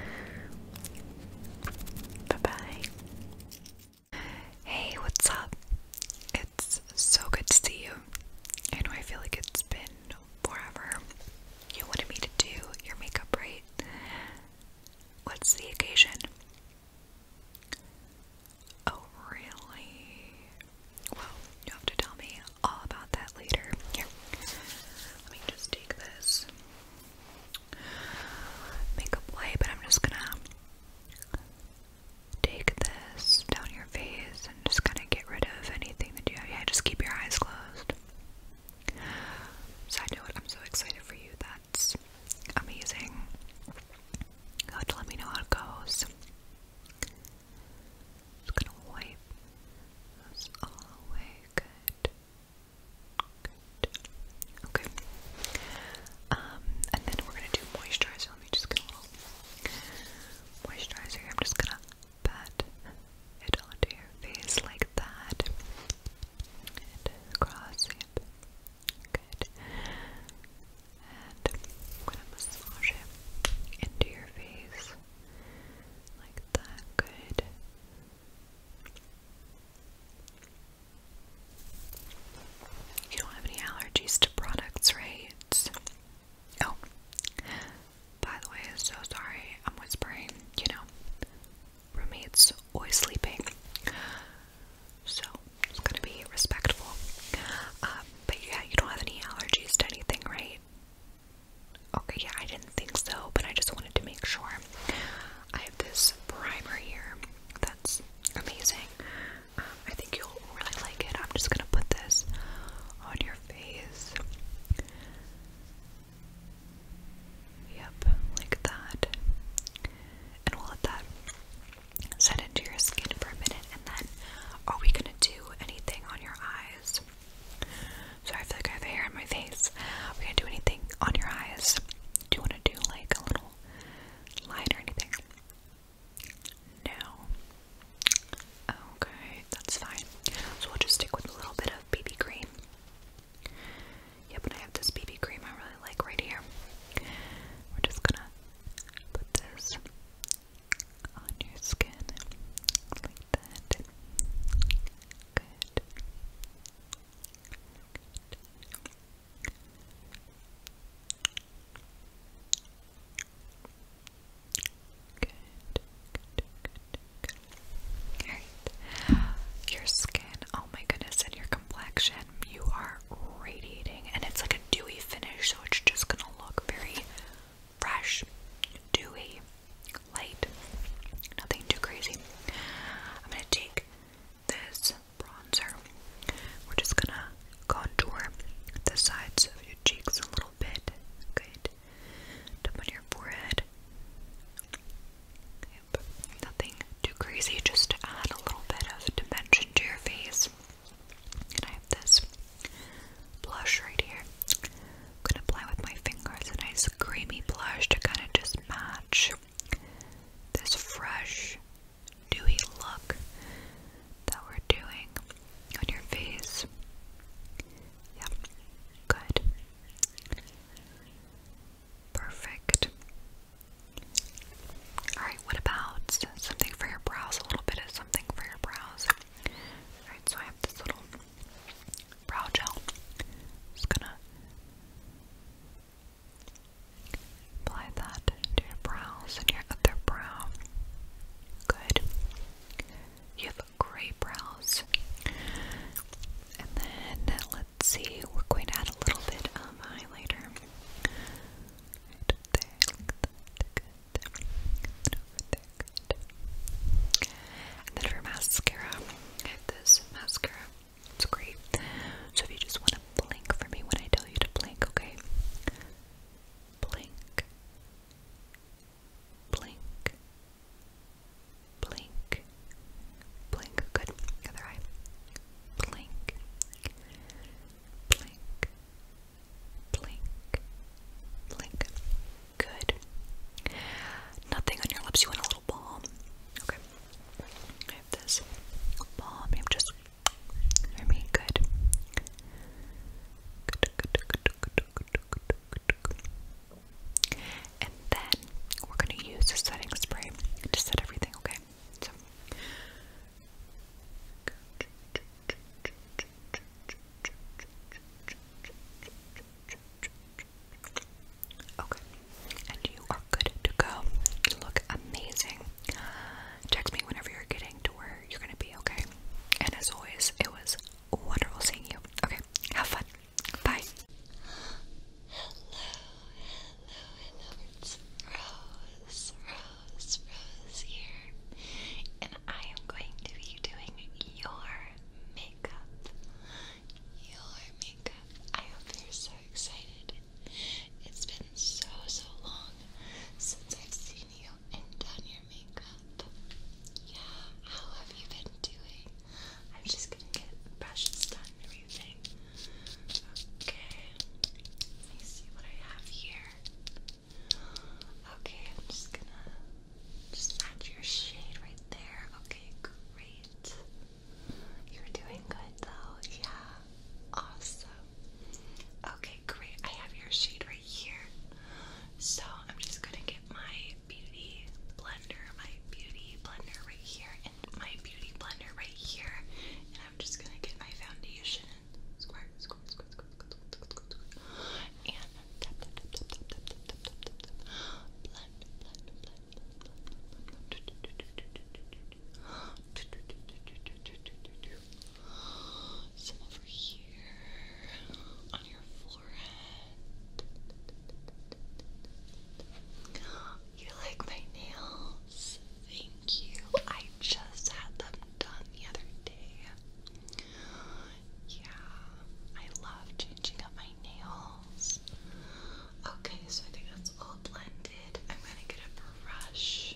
Bye bye. Hey, what's up? It's so good to see you. I know I feel like it's been forever. You wanted me to do your makeup, right? What's the occasion? Oh, really? Well, you have to tell me all about that later. Here, let me just take this makeup wipe, but I'm just gonna take this down your face and just kind of get rid of anything that you have. Yeah, just keep your eyes closed. Side note, I'm so excited for you that it's amazing. You let me know how it goes. just gonna wipe all away. Okay. Um, and then we're gonna do moisturizer. Let me just get a moisturizer I'm just gonna pat it onto your face like that. And across. Yep. Good. And I'm going to massage it into your face like that. Good. You don't have any allergies to products, right? Oh, by the way, so sorry I'm whispering. You know, roommates always sleeping. So it's gonna be respectful. Uh, but yeah, you don't have any allergies to anything, right? Okay, yeah, I didn't think so, but I just wanted to make sure. I have this primer here that's amazing. Um, I think you'll really like it. I'm just gonna put this on your face. Yep, like that. And we'll let that set into your skin for a minute. And then, are we gonna do anything on your eyes? Sorry, I feel like I have hair on my face. Are we gonna do anything on your eyes? Do you wanna do like a little line or anything? No. Okay, that's fine. So we'll just stick with a little bit of BB cream. Yep, and I have this BB cream I really like right here. We're just gonna put this on your skin like that. Good. Good. Good, good, good, Your skin, oh my goodness, and your complexion, you are radiating, and it's like a dewy finish, so it's just gonna look very fresh, dewy, light, nothing too crazy. I'm gonna take this bronzer, we're just gonna contour the sides of your cheeks a little bit, good, up on your forehead. Nothing too crazy, just to add a little bit of dimension to your face. And I have this blush right here. I'm gonna apply with my fingers a nice creamy blush to kind of just match this fresh, dewy look that we're doing on your face. Yep, good. Perfect. Alright, what about something for your brows? A little bit of something for your brows. Alright, so I have this little brow gel. Just gonna apply that to your brows and your other brow. Good. You have gray brows. And then let's see, we're going to add a little bit of highlighter. And then for mascara, this mascara. It's great. So if you just want to blink for me when I tell you to blink, okay? Blink. Blink. Blink. Blink. Good. Other eye. Blink. Blink. Blink. Blink. Good. Nothing on your lips. You want a little balm. Okay. I have this balm. You have just for me. Good. Good, good, good, good, good, good, good, good. And then we're going to use the setting spray to set everything, okay? Okay, and you are good to go. You look amazing. Text me whenever you're getting to where you're gonna be, okay? And as always, it was wonderful seeing you. Okay, have fun. Bye hello, hello. It's Rose, Rose, Rose here, and I am going to be doing your makeup. Your makeup. I hope you're so excited. It's been so, so long since I've seen you and done your makeup. Yeah, how have you been doing? I'm just gonna get brushes done and everything. Okay, let me see what I have here. Okay, I'm just gonna just match your shade right there. Okay, great. You're doing good though, yeah. Awesome. Okay, great. I have your shade right here. So I'm just gonna get my beauty blender, my beauty blender right here, and my beauty blender right here, I'm just gonna get my foundation and squirt, squirt, squirt, squirt, squirt, squirt, Some over here on your forehead. You like my nails? Thank you. I just had them done the other day. Yeah, I love changing up my nails. Okay, so I think that's all blended. I'm gonna get a brush.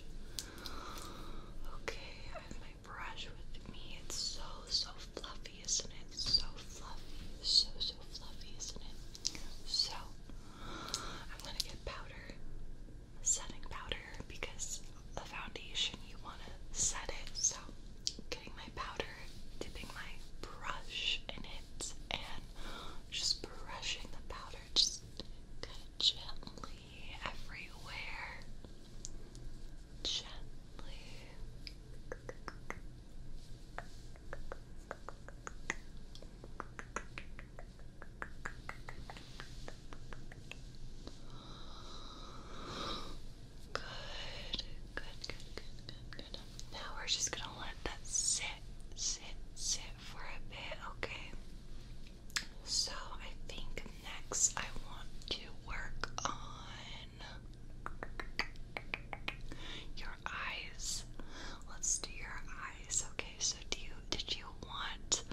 Okay, I have my brush with me. It's so, so fluffy, isn't it? So fluffy. So, so fluffy, isn't it? So, I'm gonna get powder, setting powder, because the foundation you want to set it. So, getting my powder, dipping my brush in it, and just brushing the powder just gently everywhere. Gently. Good, good, good, good, good, Now we're just gonna let that sit, sit, sit for a bit, okay? So I think next I want to work on your eyes. Let's do your eyes. Okay, so do you did you want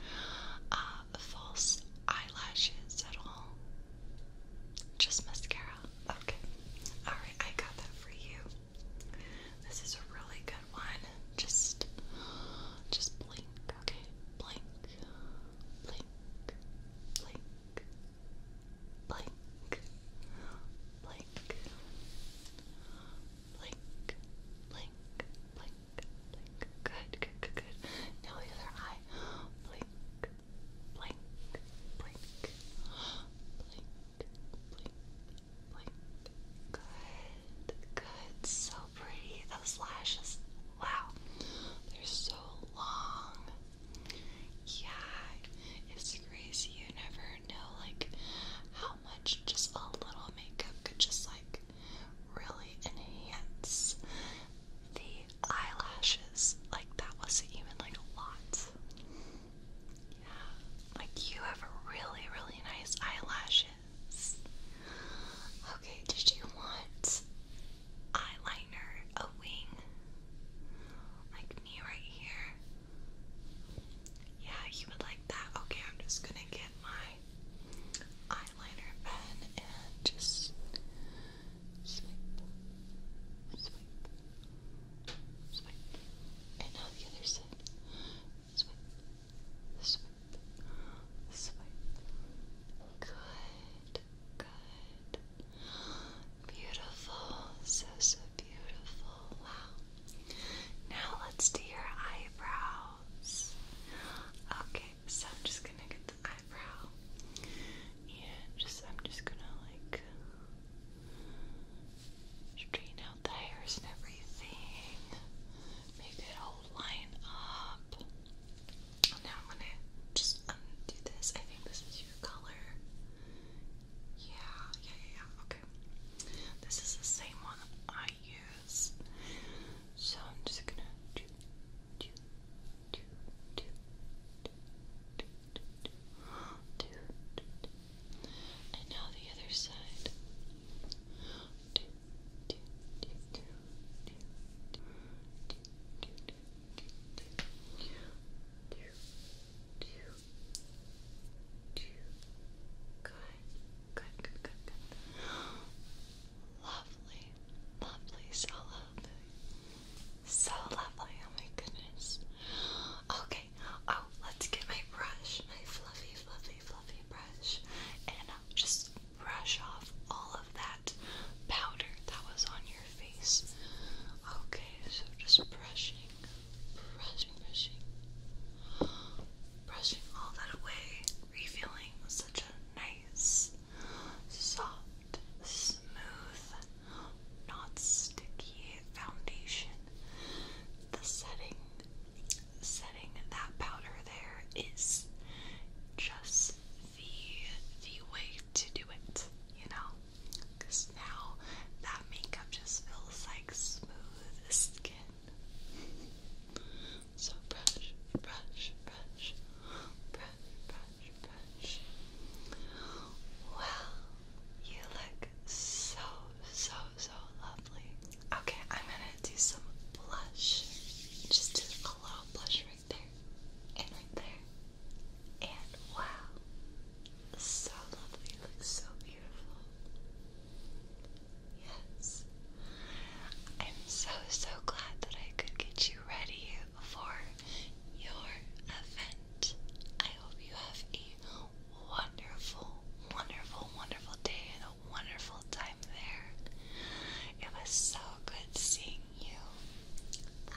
uh, false eyelashes at all? Just mascara. Okay. Alright, I got that for you. This is a really good one. Just just blink, okay? Blink. Blink. Blink. Blink. Blink blink, blink, blink, blink. Good, good, good, good. Now the other eye. Blink, blink, blink, blink, blink, blink. Good, good. So pretty. Those lashes. Wow, they're so long. Yeah, it's crazy. You never know like how much just a little makeup could just like really enhance the eyelashes. Like that wasn't even like a lot. Yeah. Like you have really, really nice eyelashes. Okay, did you want eyeliner, a wing? Like me right here? Yeah, you would like that. Okay, I'm just gonna get my eyeliner pen and just swipe, swipe, swipe, and now the other side. Swipe, swipe, swipe. Good, good. Beautiful, so so beautiful. Wow. Now let's do your eyebrows. Okay, so I'm just gonna get the eyebrow. And just I'm just gonna like straighten out the hairs and everything. Make it all line up. Now I'm gonna just undo this. I think this is your color. yeah, yeah, yeah. Okay. This is the same one I use. So I'm just gonna do, do, do, do, do, do, do, do, do, do. And now the other side. Do, do, do, do, do, do, do, do, do, do, do, do, do two. Good, good, good, good, good. Lovely, lovely, so lovely. So lovely, oh my goodness. Okay, oh, let's get my brush, my fluffy, fluffy, fluffy brush, and just brush off all of that powder that was on your face. Okay, so just brushing brushing, brushing, brushing all that away, revealing such a nice, soft, smooth, not sticky foundation. The setting, setting that powder there is just the the way to do it, you know, because now that makeup just feels like smooth skin so brush, brush, brush, brush, brush, brush. Wow, you look so, so, so lovely. Okay, I'm gonna do some blush. Just do a little blush right there, and right there, and wow, so lovely. You look so beautiful. Yes. I'm so, so glad that I could get you ready for your event. I hope you have a wonderful, wonderful, wonderful day and a wonderful time there. It was so good seeing you. Bye.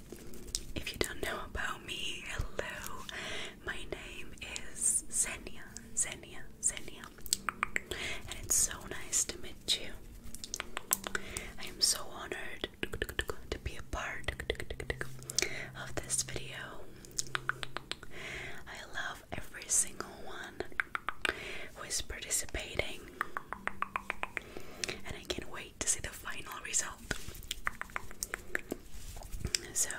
If you don't know about me, hello. My name is Xenia, Xenia, Xenia. And it's so nice to meet you. I am so honored to be a part of this video. I love every single one who is participating. And I can't wait to see the final result. So,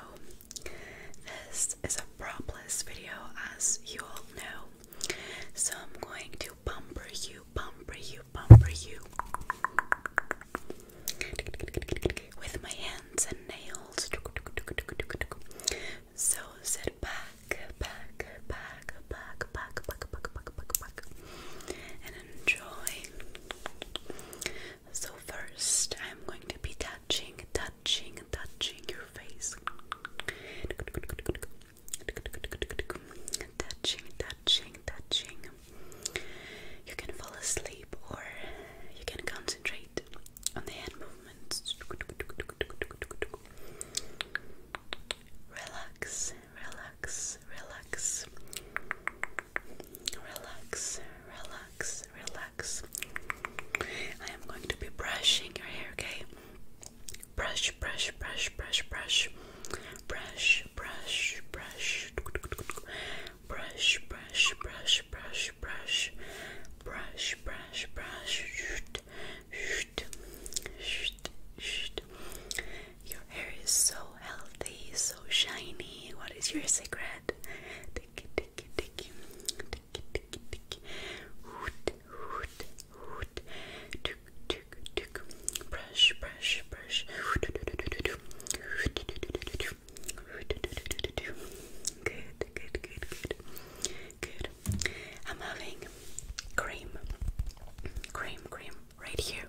this is a propless video, as you all know. So, I'm going to bumper you, bumper you, bumper you with my hands and nails. So, sit back, back, back, back, back, back, back, back, back, back, and enjoy. So first, I'm going to be touching, touching, touching your face. Touching, touching, touching. You can fall asleep or you can concentrate on the hand movements. Relax, relax, relax, relax, relax, relax. I am going to be brushing your hair, okay? Brush, brush, brush, brush, brush, brush, brush, brush, brush, brush, brush, brush, brush, brush, brush, brush, shoot, shoot, shoot, shoot, your hair is so healthy, so shiny. What is your secret? Tiki tiki tiki tiki tiki tiki. Hoot hoot hoot. Tuk tuk tuk. Brush brush brush. Good good good good good. I'm having cream, cream cream right here.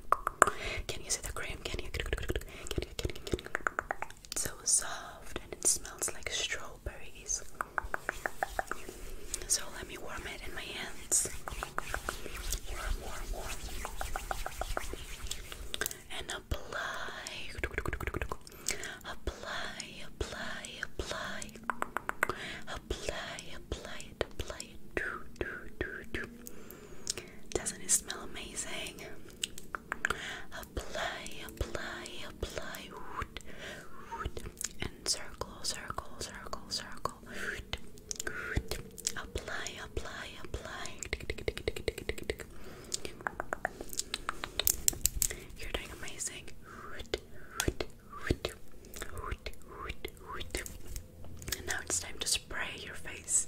Can you see the cream? Can you? Can you? It's so soft and it smells like strawberries. So let me warm it in my hands. Warm, warm, warm. And apply. Apply, apply, apply. Apply, apply, to play. Doesn't it smell amazing? Apply, apply, apply. And circle, circle, circle, circle. Apply, apply, apply. You're doing amazing. And now it's time to spray your face.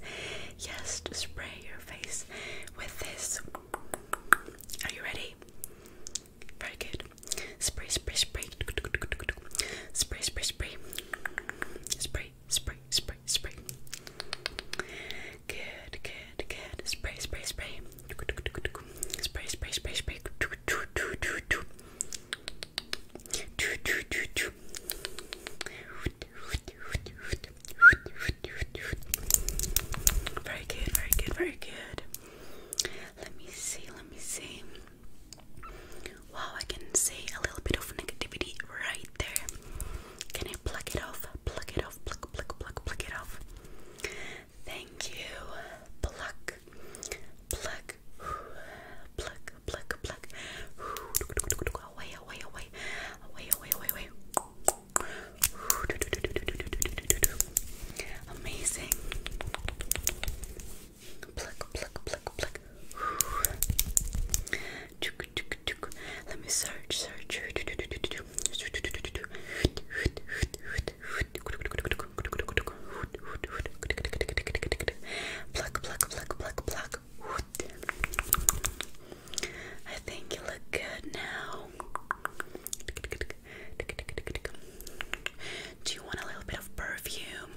Yes, to spray your face with this. Are you ready? Very good. Spray, spray, spray. Spray, spray, spray. Spray, spray, spray, spray. Good, good, good. Spray, spray, spray. Spray, spray, spray, spray. Very good, very good, very good. Let me see, let me see. Wow, I can see a little bit of negativity right there. Can I pluck it off? Pluck it off, pluck, pluck, pluck, pluck it off. Thank you. Pluck, pluck, pluck, pluck, pluck, pluck, away, away, away, away, away, away, away. Amazing. Pluck, pluck, pluck, pluck. Let me search, search. Pluck, pluck, pluck, pluck, pluck. I think you look good now. Do you want a little bit of perfume?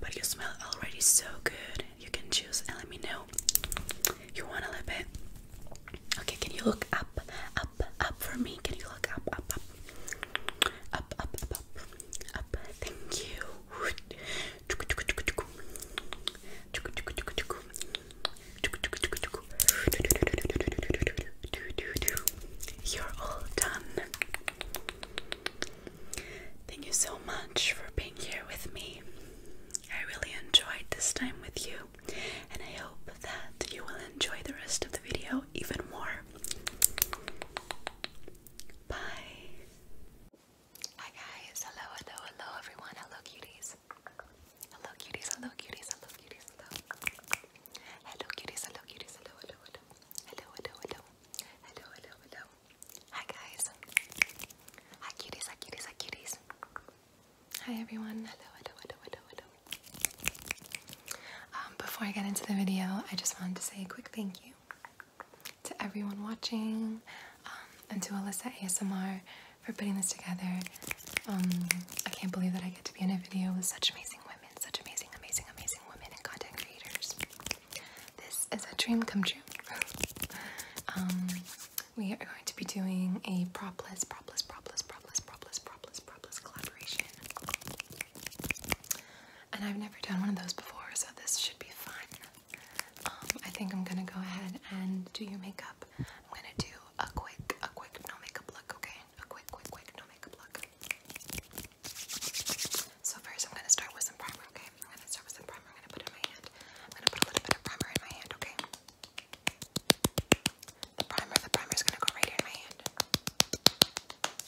But you smell already so good. You can choose and let me know. You want a little bit? Okay, can you look up, up, up for me? Can you look up, up? Up, up, up, up, up. Thank you. You're all done. Thank you so much for being here with me. I really enjoyed this time with you, and I hope that you will enjoy the rest of the video even more. Bye. Hi guys, hello, hello, hello everyone, hello cuties. Hello cuties, hello cuties, hello cuties, hello. Hello cuties, hello cuties, hello, hello, hello. Hello, hello, hello. Hello, hello, hello. Hi guys. Hi cuties, hi cuties, hi cuties. Hi everyone, hello, hello, hello, hello, hello. Um, before I get into the video, I just wanted to say a quick thank you to everyone watching um, and to Alyssa ASMR for putting this together. Um, I can't believe that I get to be in a video with such amazing women, such amazing, amazing, amazing women and content creators. This is a dream come true. Um, we are going to be doing a propless, propless, propless, propless, propless, propless, propless collaboration and I've never done one of those before, so this should be fun. Um, I think I'm gonna go ahead and do your makeup. I'm gonna do a quick, a quick no makeup look, okay? A quick, quick, quick no makeup look. So first, I'm gonna start with some primer, okay? I'm gonna start with some primer. I'm gonna put it in my hand. I'm gonna put a little bit of primer in my hand, okay? The primer, the primer is gonna go right here in my hand.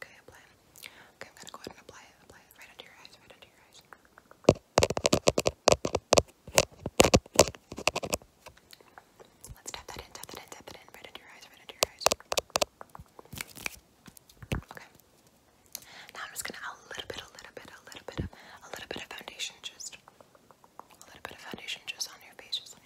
Okay, apply it. Okay, I'm gonna go ahead and apply it. Apply it right into your eyes, right into your eyes. Let's tap that in, tap that in, tap that in, right under your eyes, right under your eyes. Okay. Now I'm just gonna add a little bit, a little bit, a little bit a little bit of foundation just a little bit of foundation just on your face, just on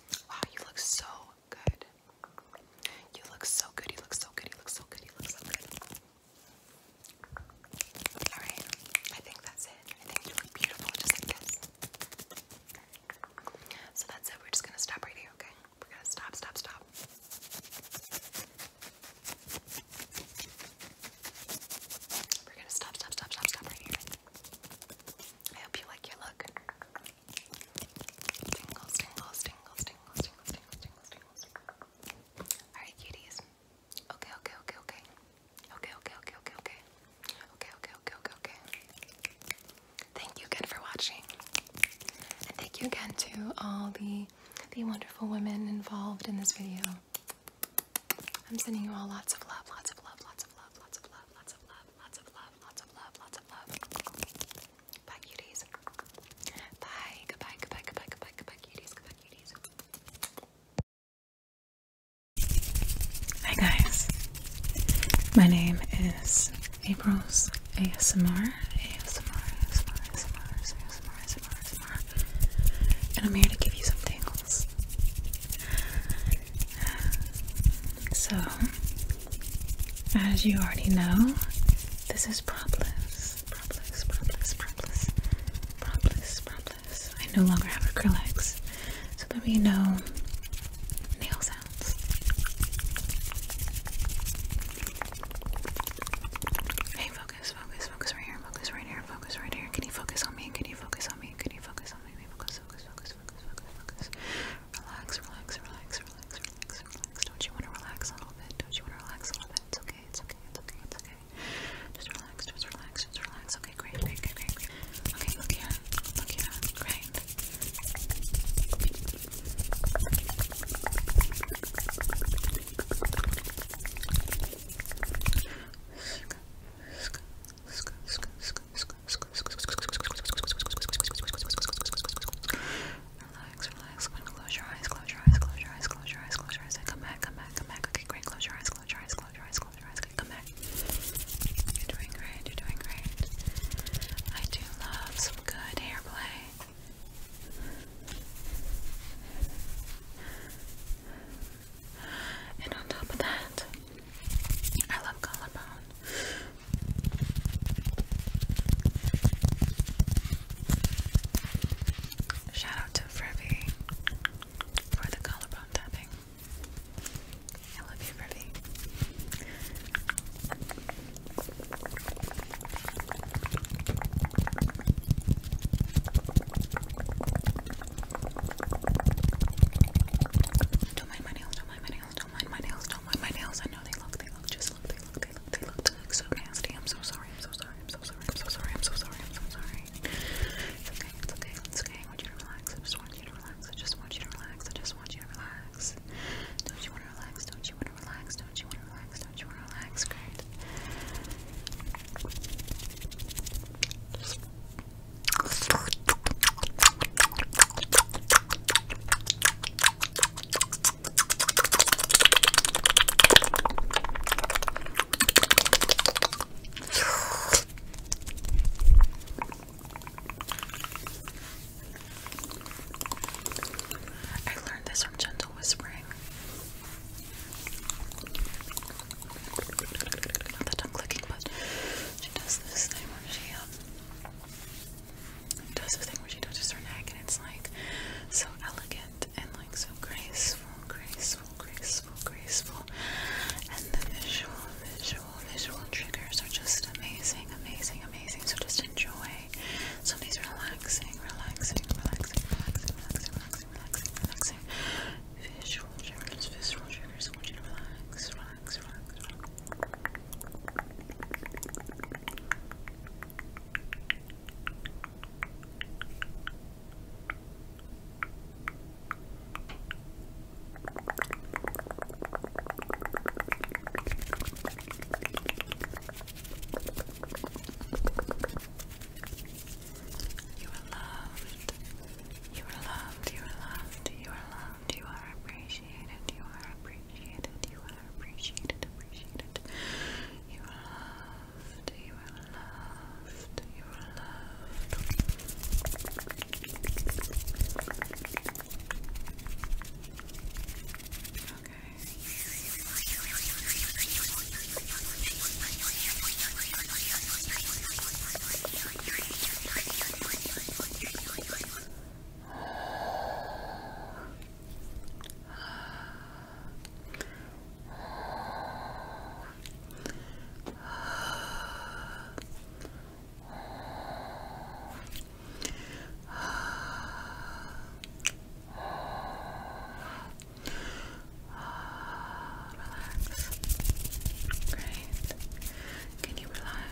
Wow, you look so good. You look so good. You look so good. You look so good. You look so good. All right. I think that's it. I think you look beautiful just like this. So that's it. We're just gonna stop right here, okay? We're gonna stop, stop, stop. We're gonna stop, stop, stop, stop, stop right here. I hope you like your look. Alright, cuties. okay. Okay, okay, okay, okay, okay. Okay, okay, okay, okay, okay. Thank you again for watching. And thank you again to all the the wonderful women involved in this video. I'm sending you all lots of love, lots of love, lots of love, lots of love, lots of love, Lots of love, lots of love, lots of love. Bye, cuties. Bye, goodbye, goodbye, goodbye, goodbye, goodbye, cuties, goodbye, cuties. Hi guys, my name is April's ASMR, ASMR, ASMR, ASMR, ASMR, ASMR, ASMR, and I'm here to give you some tingles. So, as you already know, this is Propolis. Propolis, Propolis, Propolis, Propolis, Propolis. I no longer have acrylics, so let will be nail sounds. Hey, focus, focus, focus right here, focus right here, focus right here. me? Can you focus on me? Can you focus on me? Can you focus on me? Focus, focus, focus, focus, focus, focus. Relax, relax, relax, relax, relax, relax. Don't you want to relax a little bit? Don't you want to relax a little bit? It's okay, it's okay, it's okay, it's okay. Just relax, just relax, just relax. Okay, great, great, great, great, great. Okay, look here, look here, great. Sk, sk, sk, sk, sk, sk, Relax, relax. When close your eyes, close your eyes, close your eyes, close your eyes, Come back, come back, come back. Okay, great. Close your eyes, close your eyes, close your eyes, close your eyes. come back. You're doing great. You're doing great. I do love some good hair play. And on top of that, I love collarbone. Shout out to Frivy for the collarbone tapping. I love you, Frivy. Do my money, do my money, don't mind my nails. Don't mind my nails. I know they look, they look, just look, they look, they look, they look, they look so nasty. I'm so sorry. I'm so sorry. I'm so sorry. I'm so sorry. I'm so sorry. I'm so sorry. It's okay. It's okay. It's okay. I want you to relax. I just want you to relax. I just want you to relax. I just want you to relax. Don't you want to relax? Don't you want to relax? Don't you want to relax? Don't you want to relax? Great. Just I learned this from gentle whispering. Not that I'm clicking, but she does this thing when she um, does the thing where she touches her neck and it's like so elegant and like so graceful, graceful, graceful, graceful. And the visual, visual, visual triggers are just amazing, amazing, amazing. So just enjoy some these relaxing, relaxing, relaxing, relaxing, relaxing, relaxing, relaxing, relaxing. Visual triggers, visual triggers. I want you to relax relax, relax, relax. You are loved. You are loved. You are loved. You are loved loved, you are appreciated, you are appreciated, you are appreciated, appreciated. You are loved, you are loved, you are loved. Okay. Relax. Great. Can you relax?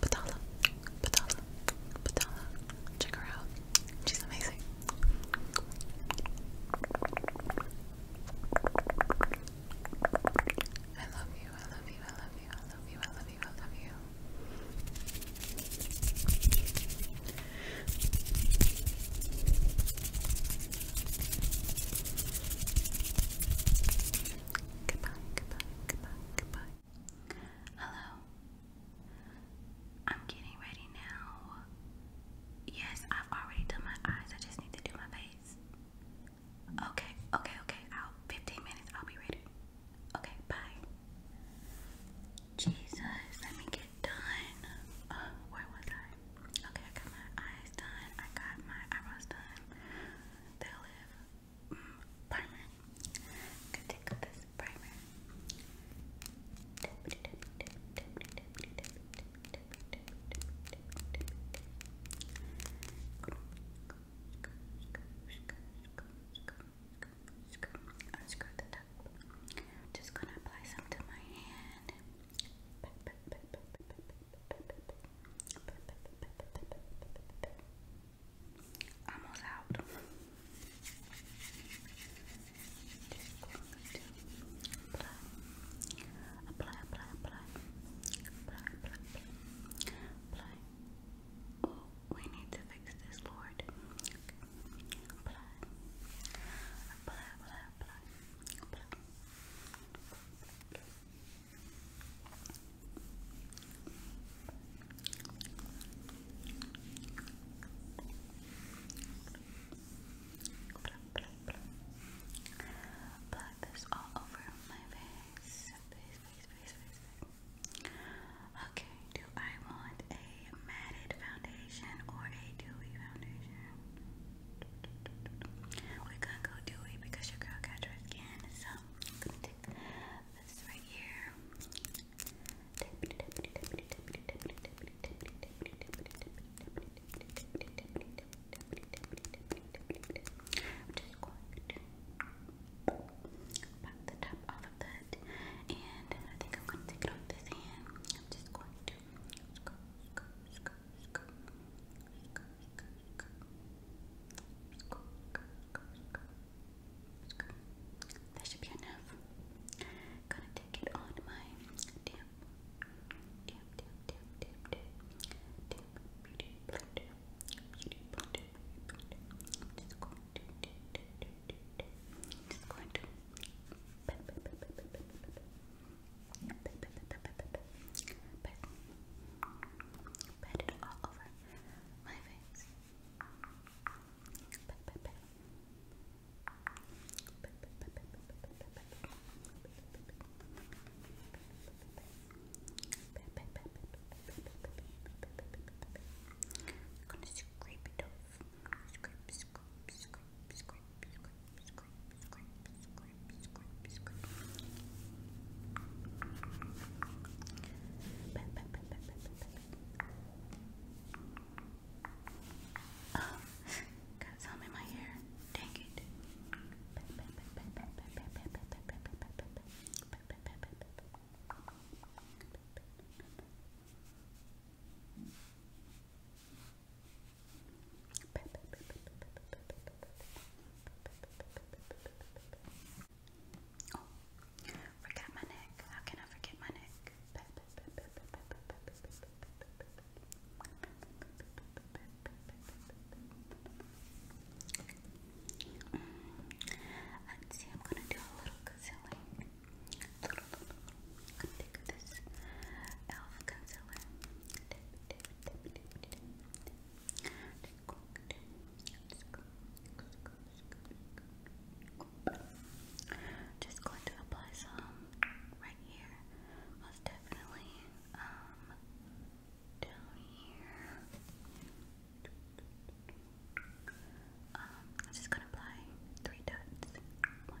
Patala, Patala, Patala. Check her out. She's amazing. I love you, I love you, I love you, I love you, I love you, I love you. Goodbye, goodbye, goodbye, goodbye. Hello. I'm getting ready now. Yes, I've already done my eyes. I just need to do my face. Okay, okay, okay. i 15 minutes. I'll be ready. Okay, bye. Jesus, let me get done. Oh, where was I? Okay, I got eyes done. I got my eyebrows done. They live. Mm, primer. i to take this primer up. Just gonna apply some to my hand. Almost out. apply, apply, apply, apply, apply, apply, Oh, we need to fix this, Lord. Apply, apply, apply, apply, apply. Apply this all over my face. Face, face, face, face, face. Okay, do I want a a matted foundation or a dewy foundation. We're gonna go dewy because your girl got dry skin, so I'm gonna take this right here. I'm just going to pop the top off of that, and I think I'm going to take it off this hand. I'm just going to that should be enough. Gonna take it on my damp, damp, damp, damp, damp, damp, damp beauty blender. Beauty blender, beauty blender. I'm just going to, just going to but but it all over my face. gonna scrape it off scrape, you scrape, scrape, my hair. Dang it. Oh, forgot my neck. How can I forget my neck? Mm. Let's see, I'm gonna do a little concealing. Take this Just going to apply some right here. Most definitely um down here. Um, I'm just gonna apply three dots. One,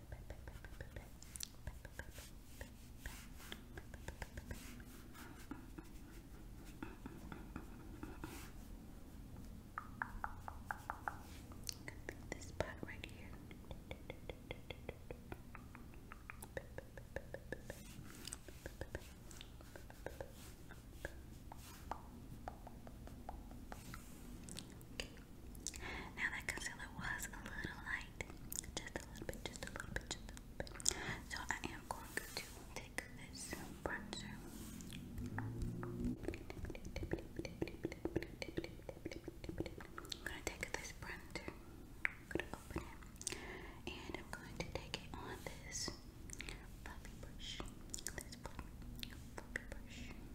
This part right here. Okay, now that concealer was a little light, just a little bit, just a little bit, just a little bit. So I am going to take this bronzer. I'm gonna take this bronzer. I'm gonna open it, and I'm going to take it on this fluffy brush. This fluffy, fluffy brush.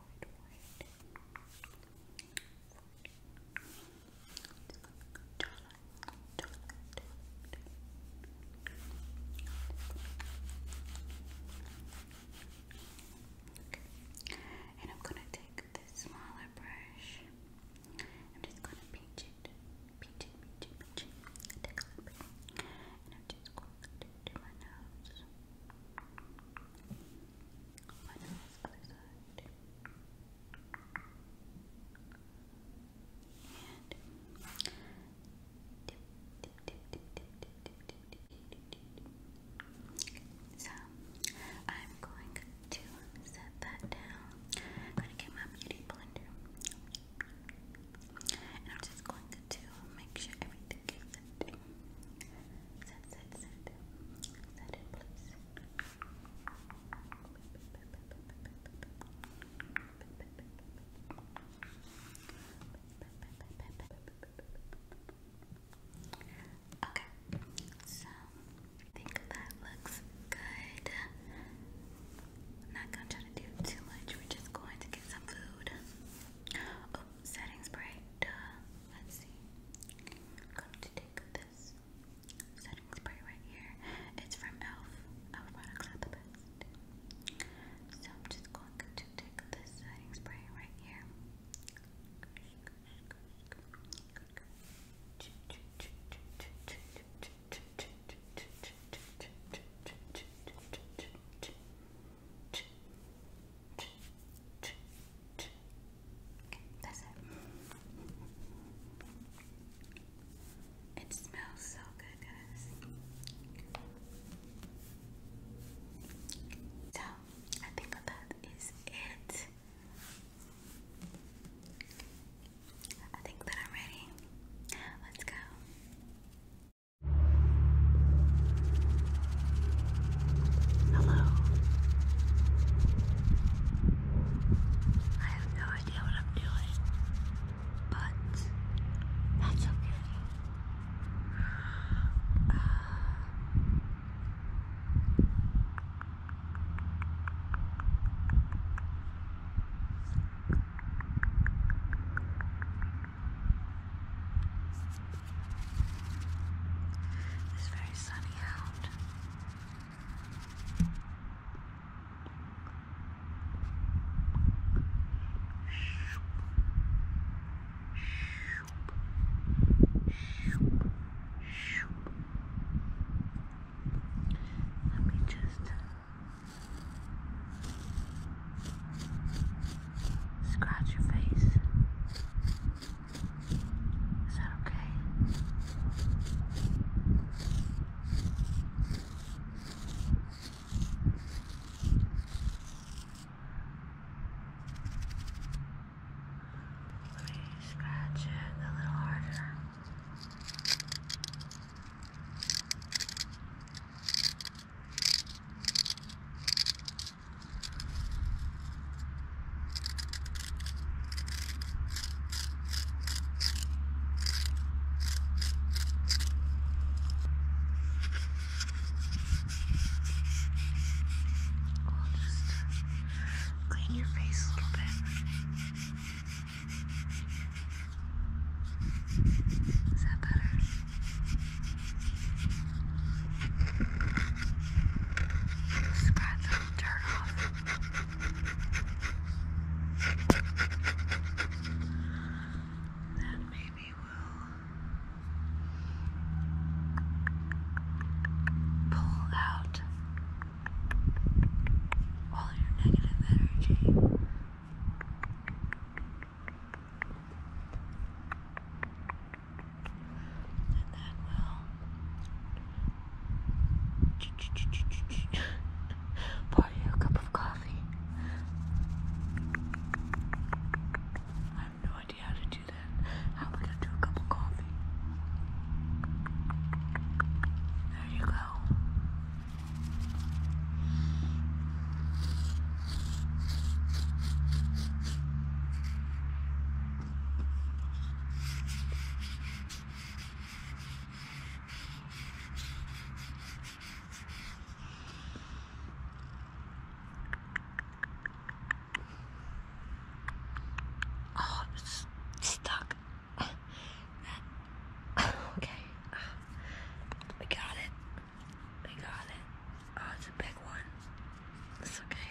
white, white. And I'm gonna take this smaller brush. I'm just gonna pinch it, pinch it, pinch it, pinch it. and I'm just going to do My nose other side. So I'm going to set that down. I'm going to get my beauty blender. And I'm just going to make sure everything sit. Sit, Okay, so I think that looks good. not gonna try to do too much, we're just going to get some food. setting spray, duh. Let's see. going to take this setting spray right here. It's from e.l.f. Our products are the best. So I'm just going to take this setting spray right here. Good that's it. It smells so good, guys. So, I think that is it. I think that I'm ready. Let's go. Hello. I have no idea what I'm doing, but that's okay. Uh, it's very sunny out. Let me just scratch your face. Is that okay? Let me scratch it a little harder. Clean your face a little bit. Is that better? Just pat turn off. Then maybe we'll uh, pull out all your negative energy pour you a cup of coffee. I have no idea how to do that. How am I going to do a cup of coffee? There you go. Oh, it's stuck. okay, we got it. We got it. Oh, it's a big one. It's okay.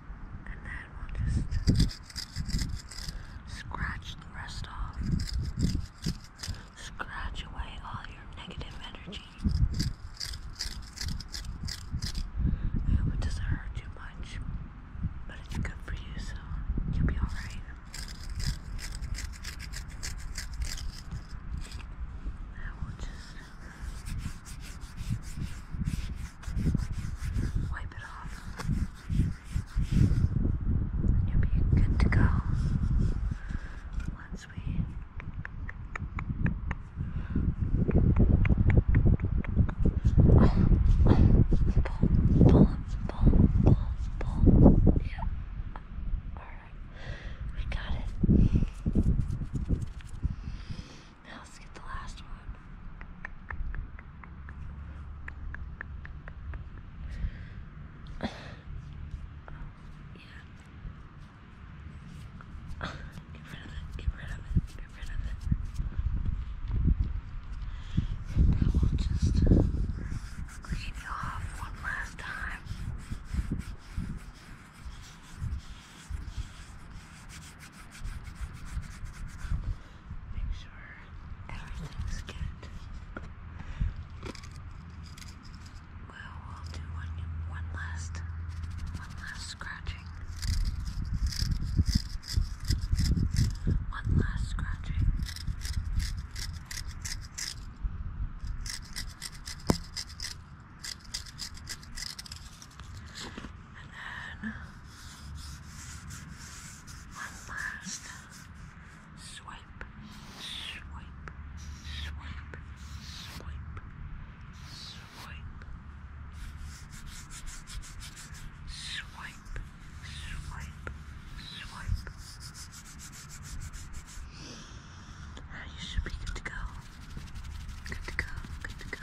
and then we'll just scratch the rest off. Scratch away all your negative energy. it doesn't hurt too much, but it's good for you, so you'll be alright. I will just Wipe it off. you'll be good to go once we. Pull, pull, pull, pull, pull. Yeah. Alright. We got it. Now let's get the last one. yeah. get rid of it, get rid of it, get rid of it. now we'll just clean it off one last time. Make sure everything's good. Well, we'll do one one last one last scratching. One last scratching. And then one last swipe, swipe, swipe, swipe, swipe, swipe, swipe, swipe. Now you should be good to go. Good to go, good to go.